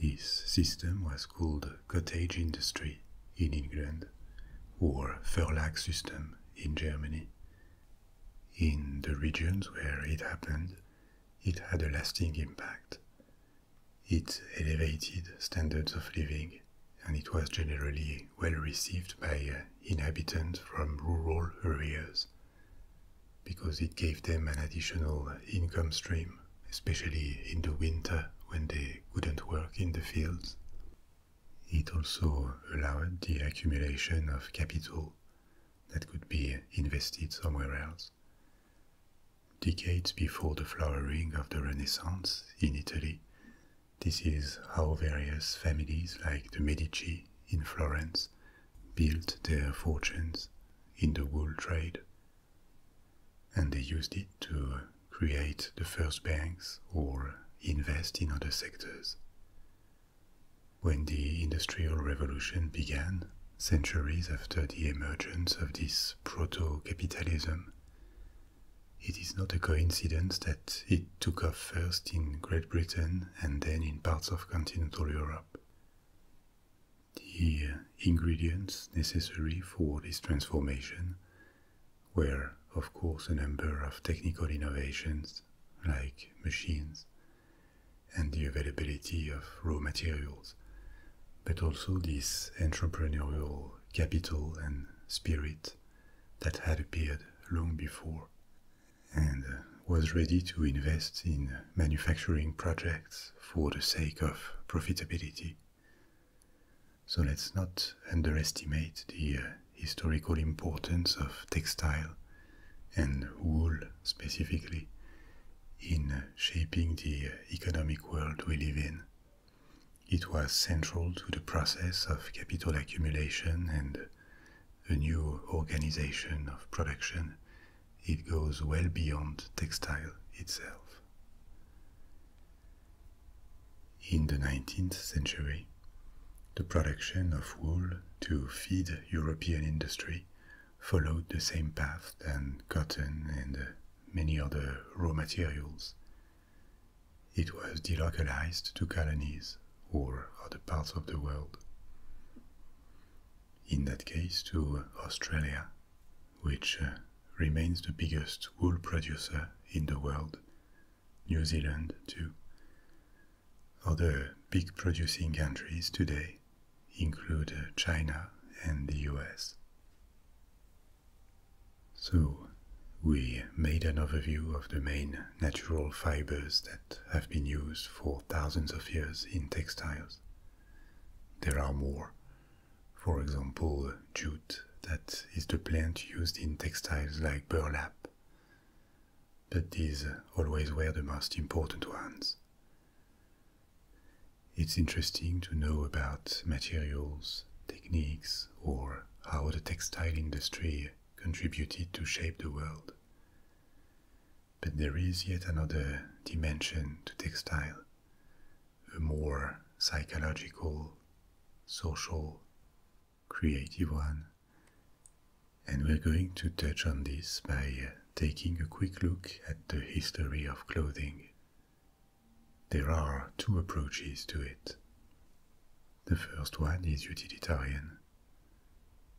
This system was called cottage industry in England or furlack system in Germany. In the regions where it happened, it had a lasting impact. It elevated standards of living and it was generally well received by uh, inhabitants from rural areas because it gave them an additional income stream, especially in the winter when they couldn't work in the fields. It also allowed the accumulation of capital that could be invested somewhere else. Decades before the flowering of the Renaissance in Italy, this is how various families like the Medici in Florence built their fortunes in the wool trade. And they used it to create the first banks or invest in other sectors. When the Industrial Revolution began, centuries after the emergence of this proto capitalism, it is not a coincidence that it took off first in Great Britain and then in parts of continental Europe. The uh, ingredients necessary for this transformation were, of course, a number of technical innovations like machines and the availability of raw materials, but also this entrepreneurial capital and spirit that had appeared long before and uh, was ready to invest in manufacturing projects for the sake of profitability. So let's not underestimate the uh, historical importance of textile and wool specifically in uh, shaping the economic world we live in. It was central to the process of capital accumulation and a new organization of production, it goes well beyond textile itself. In the 19th century, the production of wool to feed European industry followed the same path than cotton and many other raw materials. It was delocalized to colonies or other parts of the world. In that case, to Australia, which uh, remains the biggest wool producer in the world, New Zealand too. Other big producing countries today include uh, China and the US. So, we made an overview of the main natural fibers that have been used for thousands of years in textiles. There are more. For example, jute, that is the plant used in textiles like burlap. But these always were the most important ones. It's interesting to know about materials, techniques, or how the textile industry contributed to shape the world. But there is yet another dimension to textile, a more psychological, social, creative one. And we're going to touch on this by uh, taking a quick look at the history of clothing. There are two approaches to it. The first one is utilitarian.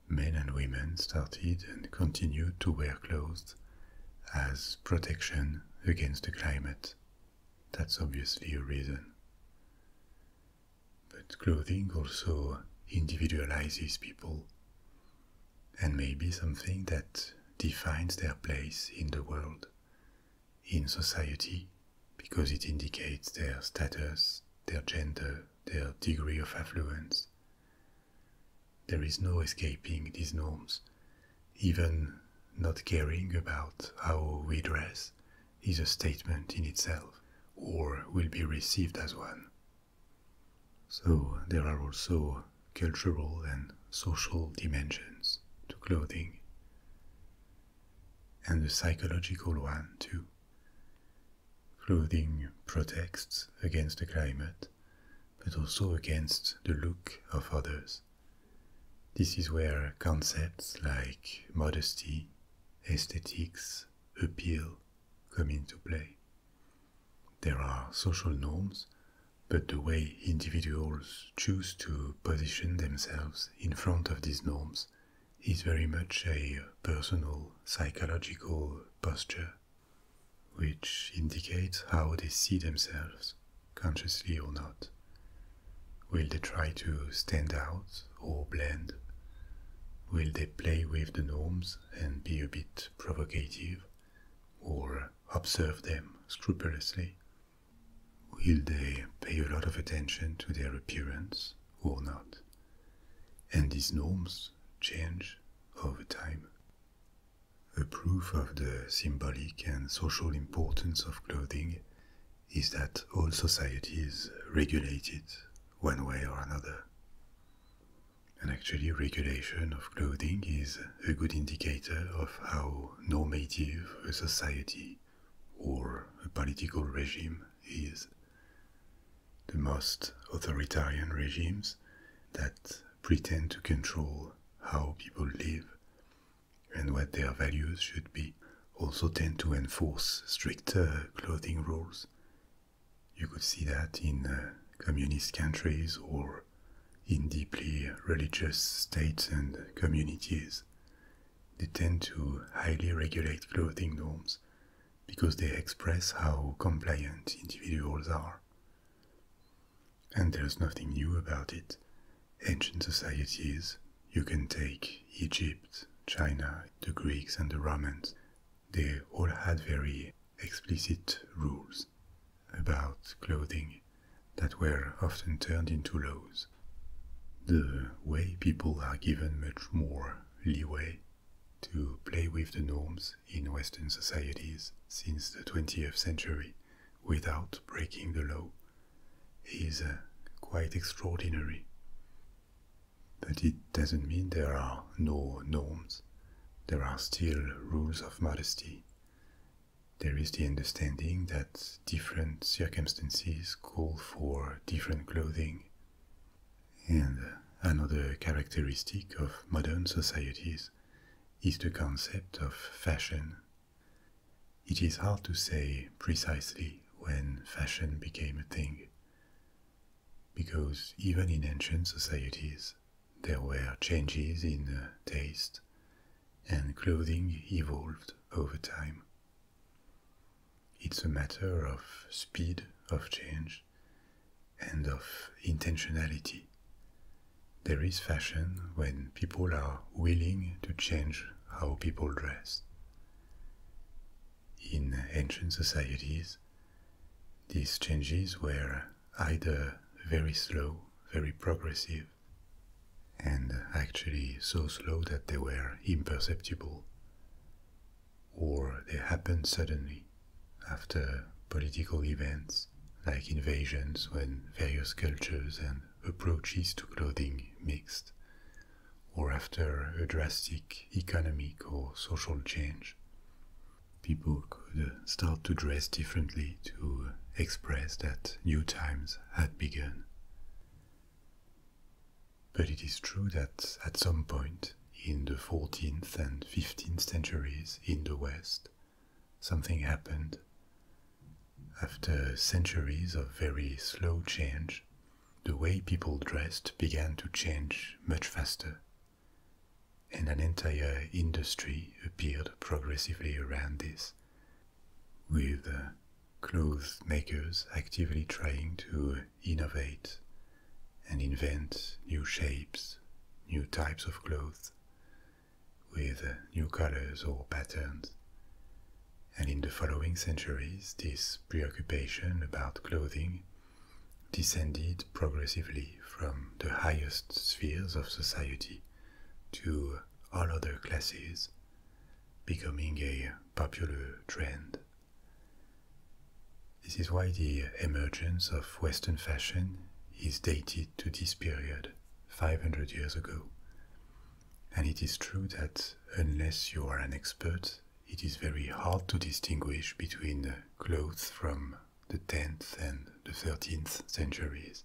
Men and women started and continued to wear clothes as protection against the climate. That's obviously a reason. But clothing also individualizes people and may be something that defines their place in the world, in society, because it indicates their status, their gender, their degree of affluence. There is no escaping these norms. Even not caring about how we dress is a statement in itself, or will be received as one. So there are also cultural and social dimensions to clothing, and the psychological one too. Clothing protects against the climate, but also against the look of others. This is where concepts like modesty, aesthetics, appeal come into play. There are social norms, but the way individuals choose to position themselves in front of these norms is very much a personal psychological posture, which indicates how they see themselves, consciously or not. Will they try to stand out or blend? Will they play with the norms and be a bit provocative or observe them scrupulously? Will they pay a lot of attention to their appearance or not? and these norms change over time. A proof of the symbolic and social importance of clothing is that all societies regulate it one way or another. And actually, regulation of clothing is a good indicator of how normative a society or a political regime is. The most authoritarian regimes that pretend to control how people live and what their values should be also tend to enforce stricter clothing rules. You could see that in uh, communist countries or in deeply religious states and communities. They tend to highly regulate clothing norms because they express how compliant individuals are. And there's nothing new about it. Ancient societies, you can take Egypt, China, the Greeks, and the Romans, they all had very explicit rules about clothing that were often turned into laws. The way people are given much more leeway to play with the norms in Western societies since the 20th century without breaking the law is uh, quite extraordinary. But it doesn't mean there are no norms. There are still rules of modesty. There is the understanding that different circumstances call for different clothing, and another characteristic of modern societies is the concept of fashion. It is hard to say precisely when fashion became a thing, because even in ancient societies, there were changes in uh, taste, and clothing evolved over time. It's a matter of speed of change and of intentionality. There is fashion when people are willing to change how people dress. In ancient societies, these changes were either very slow, very progressive, and actually so slow that they were imperceptible, or they happen suddenly after political events like invasions when various cultures and approaches to clothing mixed, or after a drastic economic or social change. People could start to dress differently to express that new times had begun. But it is true that at some point in the 14th and 15th centuries in the West, something happened. After centuries of very slow change, the way people dressed began to change much faster, and an entire industry appeared progressively around this, with uh, clothes makers actively trying to innovate and invent new shapes, new types of clothes, with new colors or patterns. And in the following centuries, this preoccupation about clothing descended progressively from the highest spheres of society to all other classes, becoming a popular trend this is why the emergence of Western fashion is dated to this period, 500 years ago. And it is true that unless you are an expert, it is very hard to distinguish between clothes from the 10th and the 13th centuries.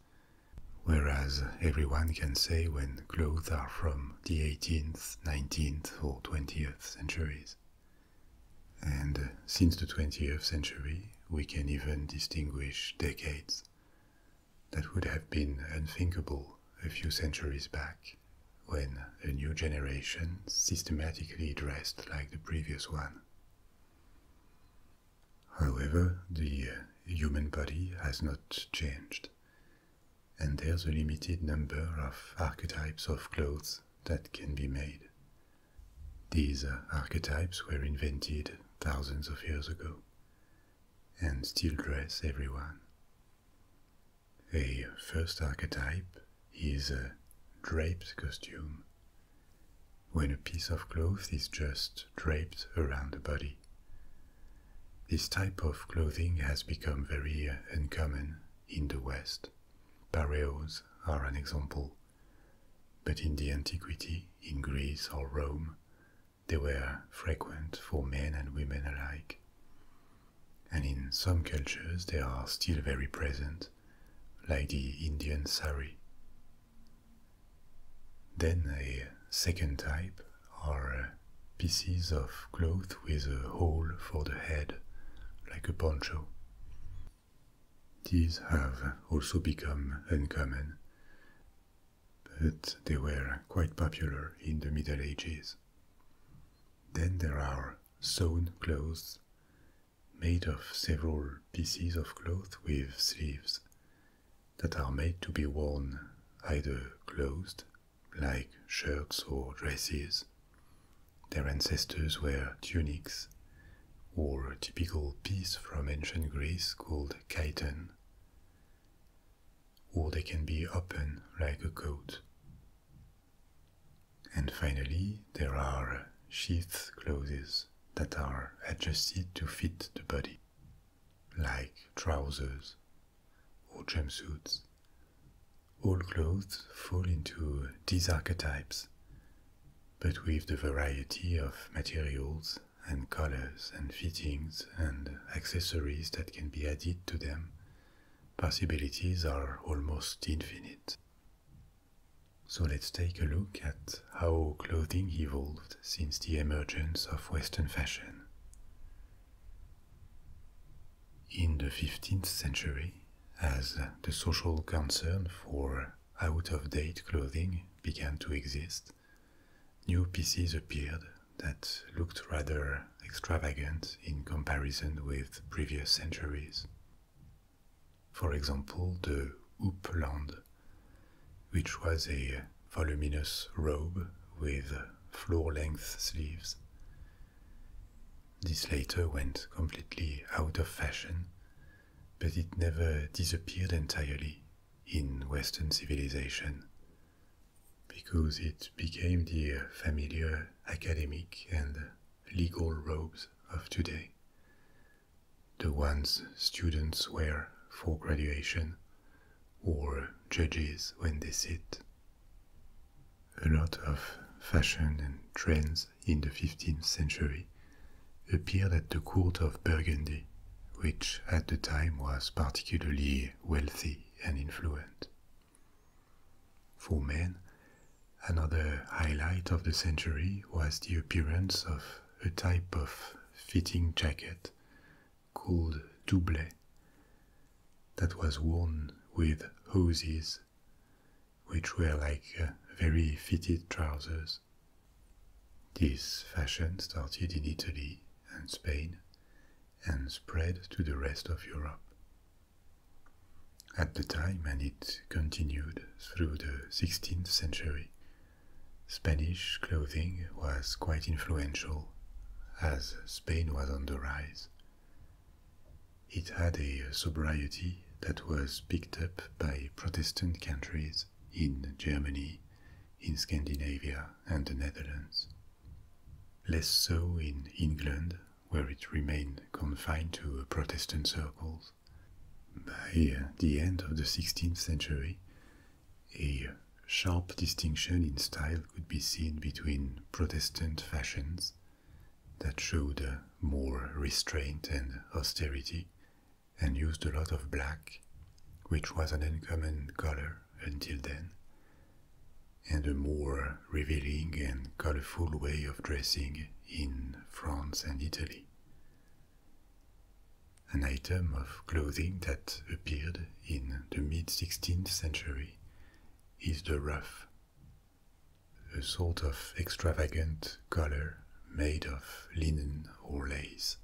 Whereas everyone can say when clothes are from the 18th, 19th, or 20th centuries. And uh, since the 20th century, we can even distinguish decades that would have been unthinkable a few centuries back when a new generation systematically dressed like the previous one. However, the uh, human body has not changed, and there's a limited number of archetypes of clothes that can be made. These archetypes were invented thousands of years ago and still dress everyone. The first archetype is a draped costume, when a piece of cloth is just draped around the body. This type of clothing has become very uh, uncommon in the West. Pareos are an example. But in the antiquity, in Greece or Rome, they were frequent for men and women alike. And in some cultures, they are still very present, like the Indian sari. Then a second type are uh, pieces of cloth with a hole for the head, like a poncho. These have also become uncommon, but they were quite popular in the Middle Ages. Then there are sewn clothes, made of several pieces of cloth with sleeves, that are made to be worn either closed, like shirts or dresses, their ancestors were tunics, or typical piece from ancient Greece called chiton. Or they can be open like a coat. And finally, there are sheath clothes that are adjusted to fit the body, like trousers or jumpsuits all clothes fall into these archetypes, but with the variety of materials and colors and fittings and accessories that can be added to them, possibilities are almost infinite. So let's take a look at how clothing evolved since the emergence of Western fashion in the 15th century as the social concern for out of date clothing began to exist, new pieces appeared that looked rather extravagant in comparison with previous centuries. For example, the houppeland, which was a voluminous robe with floor length sleeves. This later went completely out of fashion, but it never disappeared entirely in Western civilization because it became the familiar academic and legal robes of today, the ones students wear for graduation or judges when they sit a lot of fashion and trends in the 15th century appeared at the court of Burgundy, which at the time was particularly wealthy and influential. For men, another highlight of the century was the appearance of a type of fitting jacket called doublet that was worn with hoses which were like uh, very fitted trousers. This fashion started in Italy and Spain and spread to the rest of Europe. At the time, and it continued through the 16th century, Spanish clothing was quite influential as Spain was on the rise it had a sobriety that was picked up by Protestant countries in Germany, in Scandinavia, and the Netherlands. Less so in England, where it remained confined to Protestant circles. By uh, the end of the 16th century, a sharp distinction in style could be seen between Protestant fashions that showed more restraint and austerity, and used a lot of black, which was an uncommon color until then, and a more revealing and colorful way of dressing in France and Italy. An item of clothing that appeared in the mid 16th century is the ruff, a sort of extravagant collar made of linen or lace.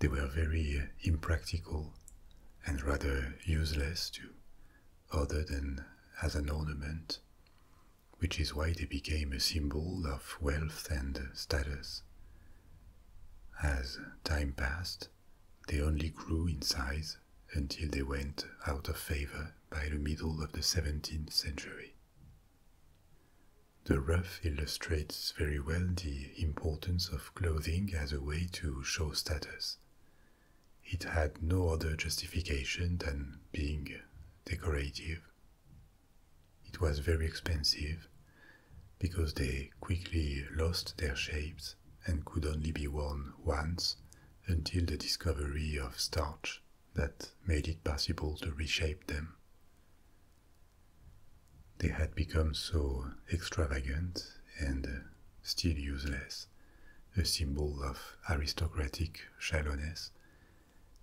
They were very impractical and rather useless too, other than as an ornament, which is why they became a symbol of wealth and status. As time passed, they only grew in size until they went out of favor by the middle of the 17th century. The ruff illustrates very well the importance of clothing as a way to show status. It had no other justification than being decorative. It was very expensive because they quickly lost their shapes and could only be worn once until the discovery of starch that made it possible to reshape them. They had become so extravagant and uh, still useless, a symbol of aristocratic shallowness,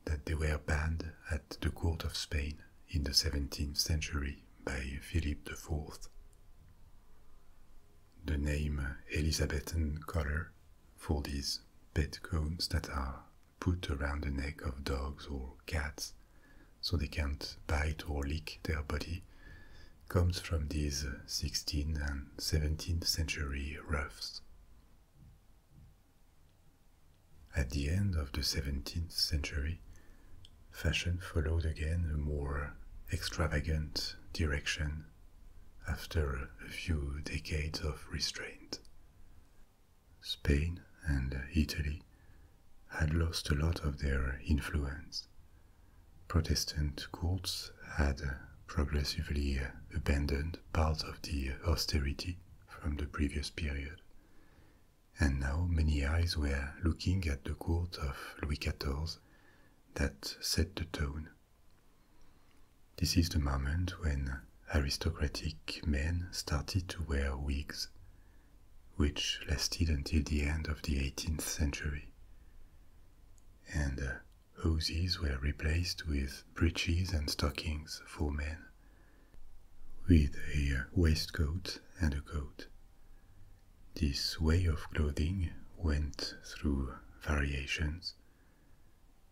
that they were banned at the court of Spain in the 17th century by Philip IV. The name Elizabethan collar for these pet cones that are put around the neck of dogs or cats so they can't bite or lick their body comes from these 16th and 17th century ruffs. At the end of the 17th century, fashion followed again a more extravagant direction after a few decades of restraint. Spain and Italy had lost a lot of their influence. Protestant courts had progressively abandoned part of the austerity from the previous period, and now many eyes were looking at the court of Louis XIV that set the tone this is the moment when aristocratic men started to wear wigs, which lasted until the end of the 18th century. And uh, hoses were replaced with breeches and stockings for men, with a waistcoat and a coat. This way of clothing went through variations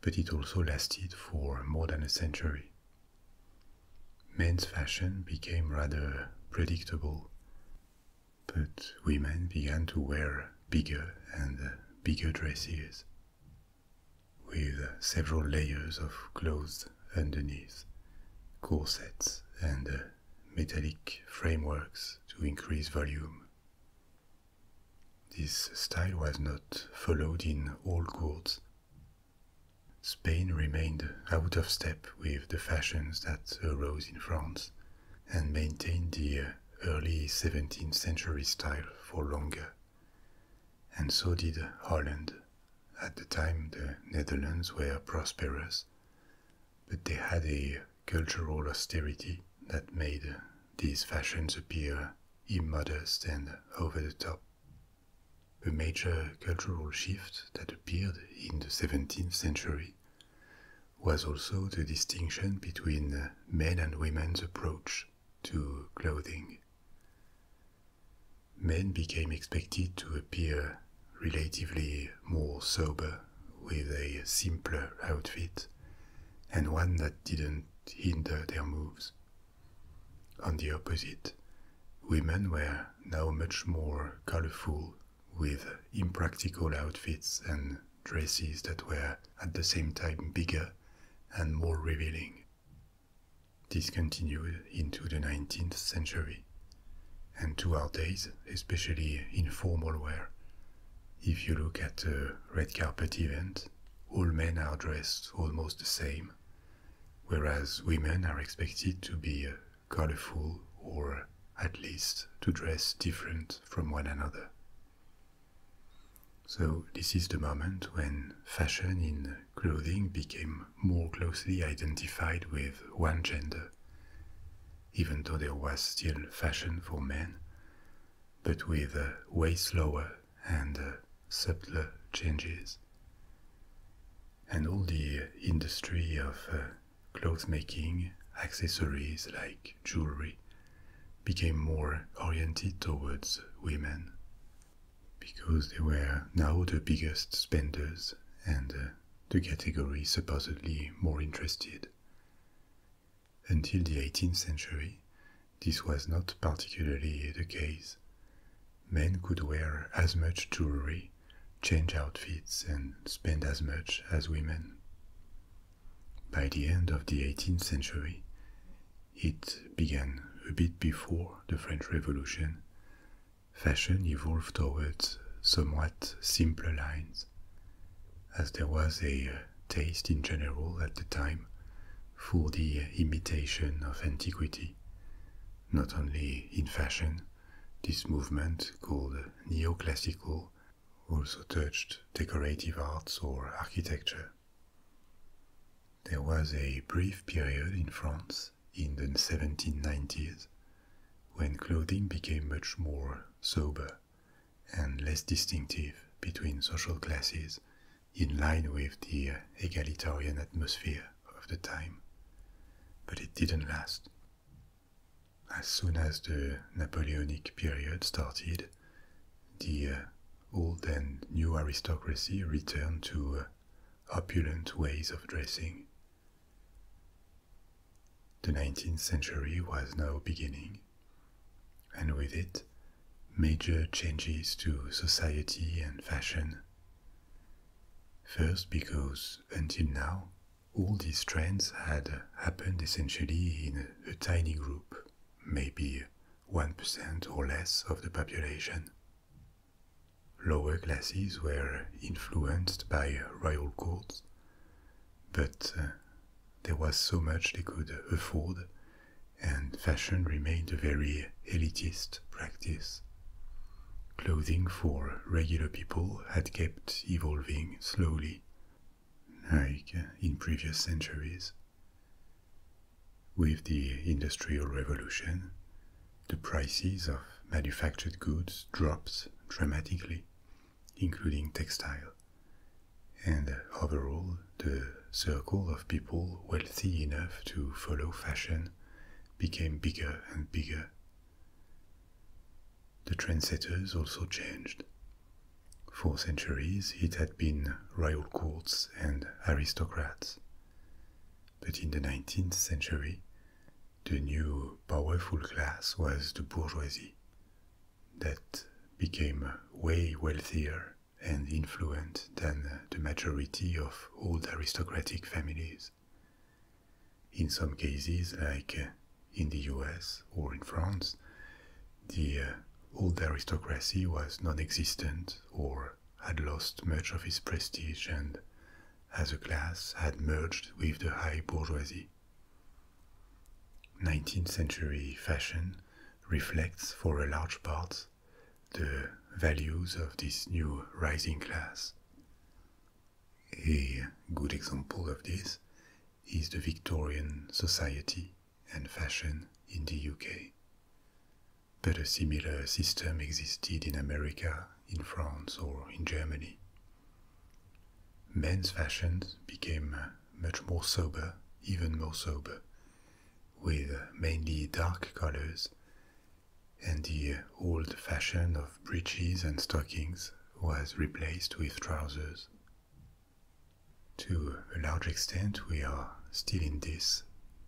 but it also lasted for more than a century. Men's fashion became rather predictable, but women began to wear bigger and bigger dresses with several layers of clothes underneath, corsets and metallic frameworks to increase volume. This style was not followed in all courts. Spain remained out of step with the fashions that arose in France and maintained the early 17th century style for longer. And so did Holland. At the time, the Netherlands were prosperous, but they had a cultural austerity that made these fashions appear immodest and over the top. The major cultural shift that appeared in the 17th century was also the distinction between men and women's approach to clothing. Men became expected to appear relatively more sober with a simpler outfit and one that didn't hinder their moves. On the opposite, women were now much more colorful with impractical outfits and dresses that were at the same time bigger and more revealing. This continued into the 19th century, and to our days, especially in formal wear, if you look at a red carpet event, all men are dressed almost the same, whereas women are expected to be uh, colorful or uh, at least to dress different from one another. So, this is the moment when fashion in clothing became more closely identified with one gender. Even though there was still fashion for men, but with uh, way slower and uh, subtler changes. And all the industry of uh, clothes making, accessories like jewelry, became more oriented towards women because they were now the biggest spenders and the category supposedly more interested. Until the 18th century, this was not particularly the case. Men could wear as much jewelry, change outfits, and spend as much as women. By the end of the 18th century, it began a bit before the French Revolution. Fashion evolved towards somewhat simpler lines as there was a uh, taste in general at the time for the uh, imitation of antiquity. Not only in fashion, this movement called uh, neoclassical also touched decorative arts or architecture. There was a brief period in France in the 1790s when clothing became much more sober and less distinctive between social classes in line with the uh, egalitarian atmosphere of the time. But it didn't last. As soon as the Napoleonic period started, the uh, old and new aristocracy returned to uh, opulent ways of dressing. The 19th century was now beginning, and with it, major changes to society and fashion. First, because until now, all these trends had happened essentially in a tiny group, maybe 1% or less of the population. Lower classes were influenced by royal courts, but uh, there was so much they could afford, and fashion remained a very elitist practice. Clothing for regular people had kept evolving slowly, like uh, in previous centuries. With the Industrial Revolution, the prices of manufactured goods dropped dramatically, including textile. And overall, the circle of people wealthy enough to follow fashion became bigger and bigger. The trendsetters also changed. For centuries, it had been royal courts and aristocrats. But in the 19th century, the new powerful class was the bourgeoisie, that became way wealthier and influential than the majority of old aristocratic families. In some cases, like in the US or in France, the uh, old aristocracy was non existent or had lost much of its prestige and, as a class, had merged with the high bourgeoisie. 19th century fashion reflects for a large part the values of this new rising class. A good example of this is the Victorian society and fashion in the UK. But a similar system existed in America, in France, or in Germany. Men's fashions became much more sober, even more sober, with mainly dark colors, and the old fashion of breeches and stockings was replaced with trousers. To a large extent, we are still in this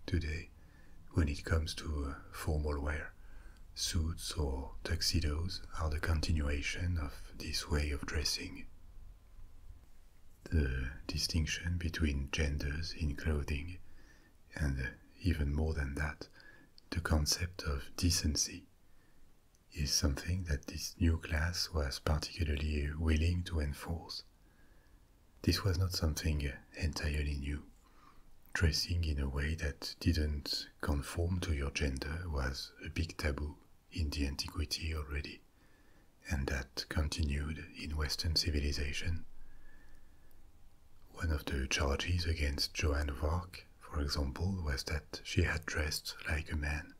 today when it comes to uh, formal wear. Suits or tuxedos are the continuation of this way of dressing, the distinction between genders in clothing, and uh, even more than that, the concept of decency, is something that this new class was particularly willing to enforce. This was not something entirely new. Dressing in a way that didn't conform to your gender was a big taboo in the antiquity already and that continued in Western civilization. One of the charges against Joanne of for example, was that she had dressed like a man.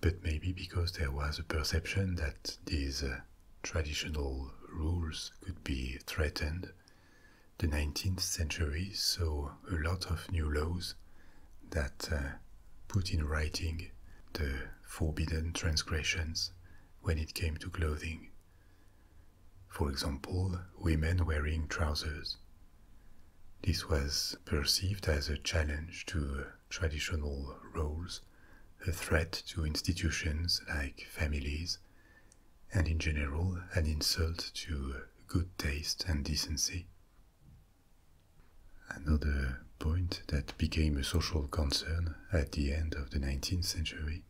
But maybe because there was a perception that these uh, traditional rules could be threatened, the 19th century saw a lot of new laws that uh, put in writing the forbidden transgressions when it came to clothing. For example, women wearing trousers. This was perceived as a challenge to traditional roles, a threat to institutions like families, and in general an insult to good taste and decency. Another point that became a social concern at the end of the 19th century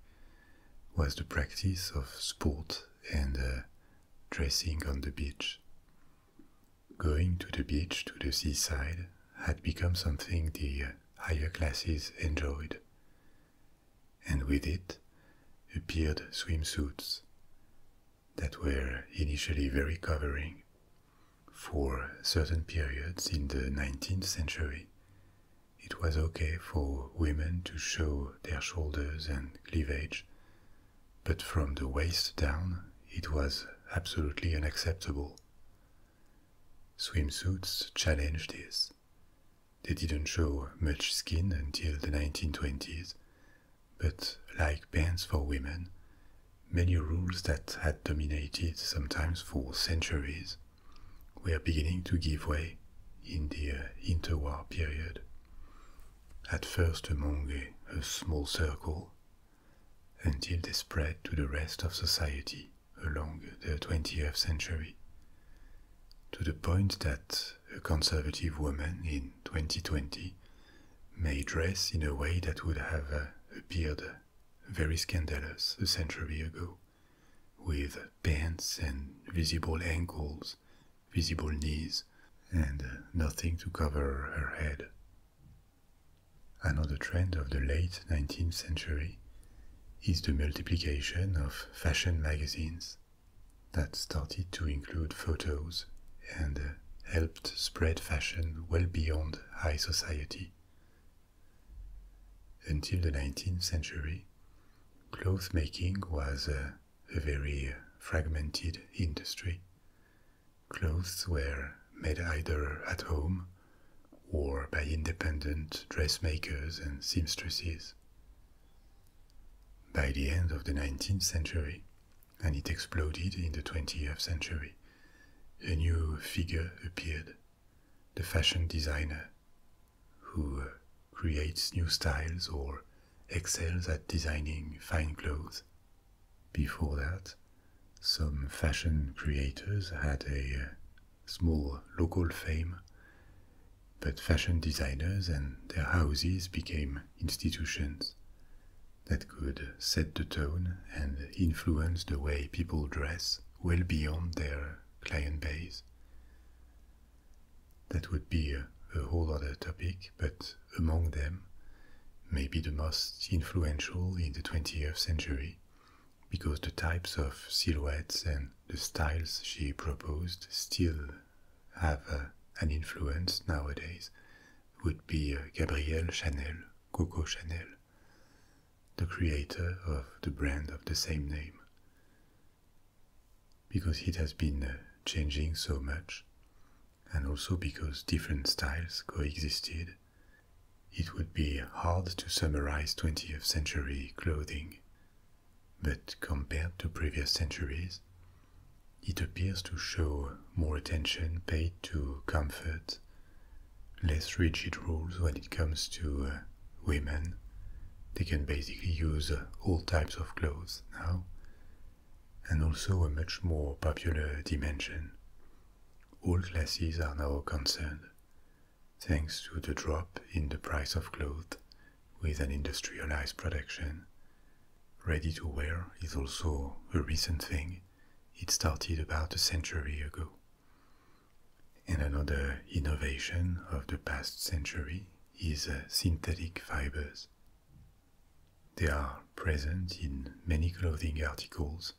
was the practice of sport and uh, dressing on the beach. Going to the beach to the seaside had become something the higher classes enjoyed, and with it appeared swimsuits, that were initially very covering for certain periods in the 19th century. It was okay for women to show their shoulders and cleavage, but from the waist down it was absolutely unacceptable. Swimsuits challenged this. They didn't show much skin until the 1920s but like bans for women, many rules that had dominated sometimes for centuries were beginning to give way in the uh, interwar period. At first among a, a small circle, until they spread to the rest of society along the 20th century, to the point that a conservative woman in 2020 may dress in a way that would have uh, appeared very scandalous a century ago, with pants and visible ankles, visible knees, and uh, nothing to cover her head. Another trend of the late 19th century is the multiplication of fashion magazines that started to include photos and uh, helped spread fashion well beyond high society. Until the 19th century, clothes making was a very fragmented industry. Clothes were made either at home or by independent dressmakers and seamstresses. By the end of the 19th century, and it exploded in the 20th century. A new figure appeared, the fashion designer, who uh, creates new styles or excels at designing fine clothes. Before that, some fashion creators had a uh, small local fame, but fashion designers and their houses became institutions that could set the tone and influence the way people dress well beyond their client base. That would be a, whole other topic, but among them, maybe the most influential in the 20th century, because the types of silhouettes and the styles she proposed still have uh, an influence nowadays would be Gabrielle Chanel, Coco Chanel, the creator of the brand of the same name. Because it has been uh, changing so much, and also because different styles coexisted, it would be hard to summarize 20th century clothing. But compared to previous centuries, it appears to show more attention paid to comfort, less rigid rules when it comes to uh, women. They can basically use uh, all types of clothes now, and also a much more popular dimension. All classes are now concerned, thanks to the drop in the price of clothes with an industrialized production. Ready to wear is also a recent thing it started about a century ago. And another innovation of the past century is uh, synthetic fibers. They are present in many clothing articles,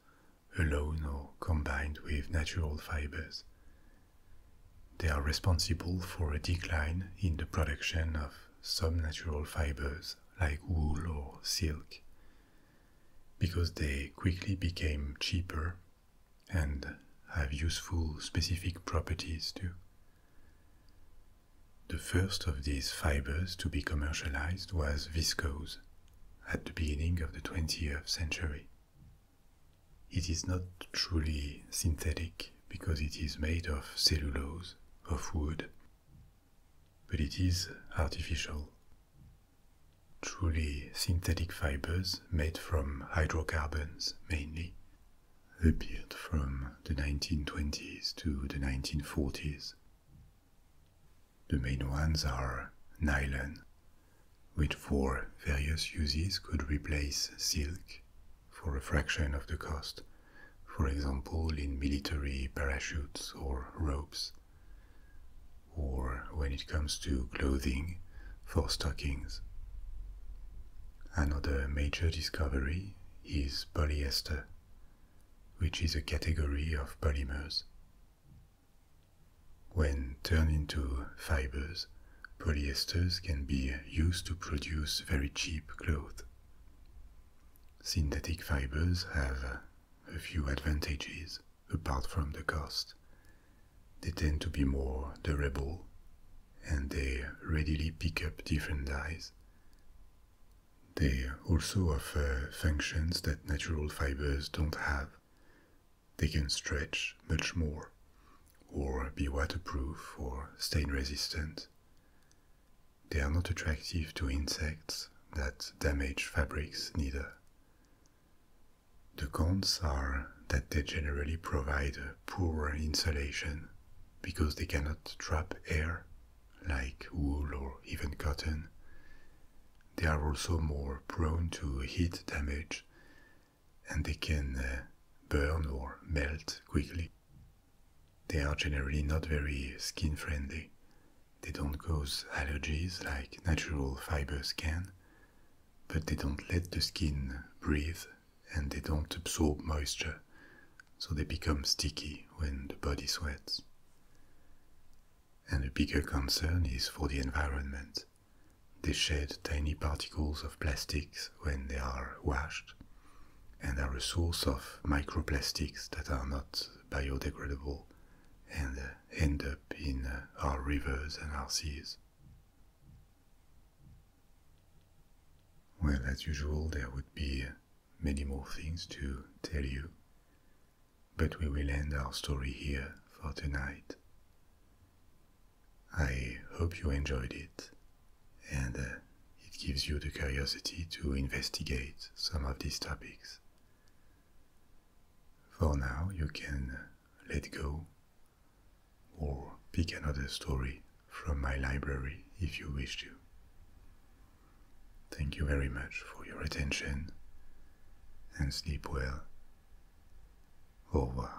alone or combined with natural fibers. They are responsible for a decline in the production of some natural fibers like wool or silk, because they quickly became cheaper and have useful specific properties too. The first of these fibers to be commercialized was viscose at the beginning of the 20th century. It is not truly synthetic because it is made of cellulose, of wood, but it is artificial. Truly synthetic fibers made from hydrocarbons mainly appeared from the 1920s to the 1940s. The main ones are nylon, which for various uses could replace silk for a fraction of the cost for example in military parachutes or ropes, or when it comes to clothing for stockings. Another major discovery is polyester, which is a category of polymers. When turned into fibers, polyesters can be used to produce very cheap cloth. Synthetic fibers have a few advantages apart from the cost. They tend to be more durable and they readily pick up different dyes. They also offer functions that natural fibers don't have. They can stretch much more, or be waterproof or stain resistant. They are not attractive to insects that damage fabrics neither. The cons are that they generally provide poor insulation because they cannot trap air like wool or even cotton. They are also more prone to heat damage and they can uh, burn or melt quickly. They are generally not very skin friendly. They don't cause allergies like natural fibers can, but they don't let the skin breathe and they don't absorb moisture, so they become sticky when the body sweats. And a bigger concern is for the environment. They shed tiny particles of plastics when they are washed and are a source of microplastics that are not biodegradable and uh, end up in uh, our rivers and our seas. Well, as usual, there would be uh, many more things to tell you, but we will end our story here for tonight. I hope you enjoyed it and it gives you the curiosity to investigate some of these topics. For now, you can let go or pick another story from my library if you wish to. Thank you very much for your attention and sleep well. Au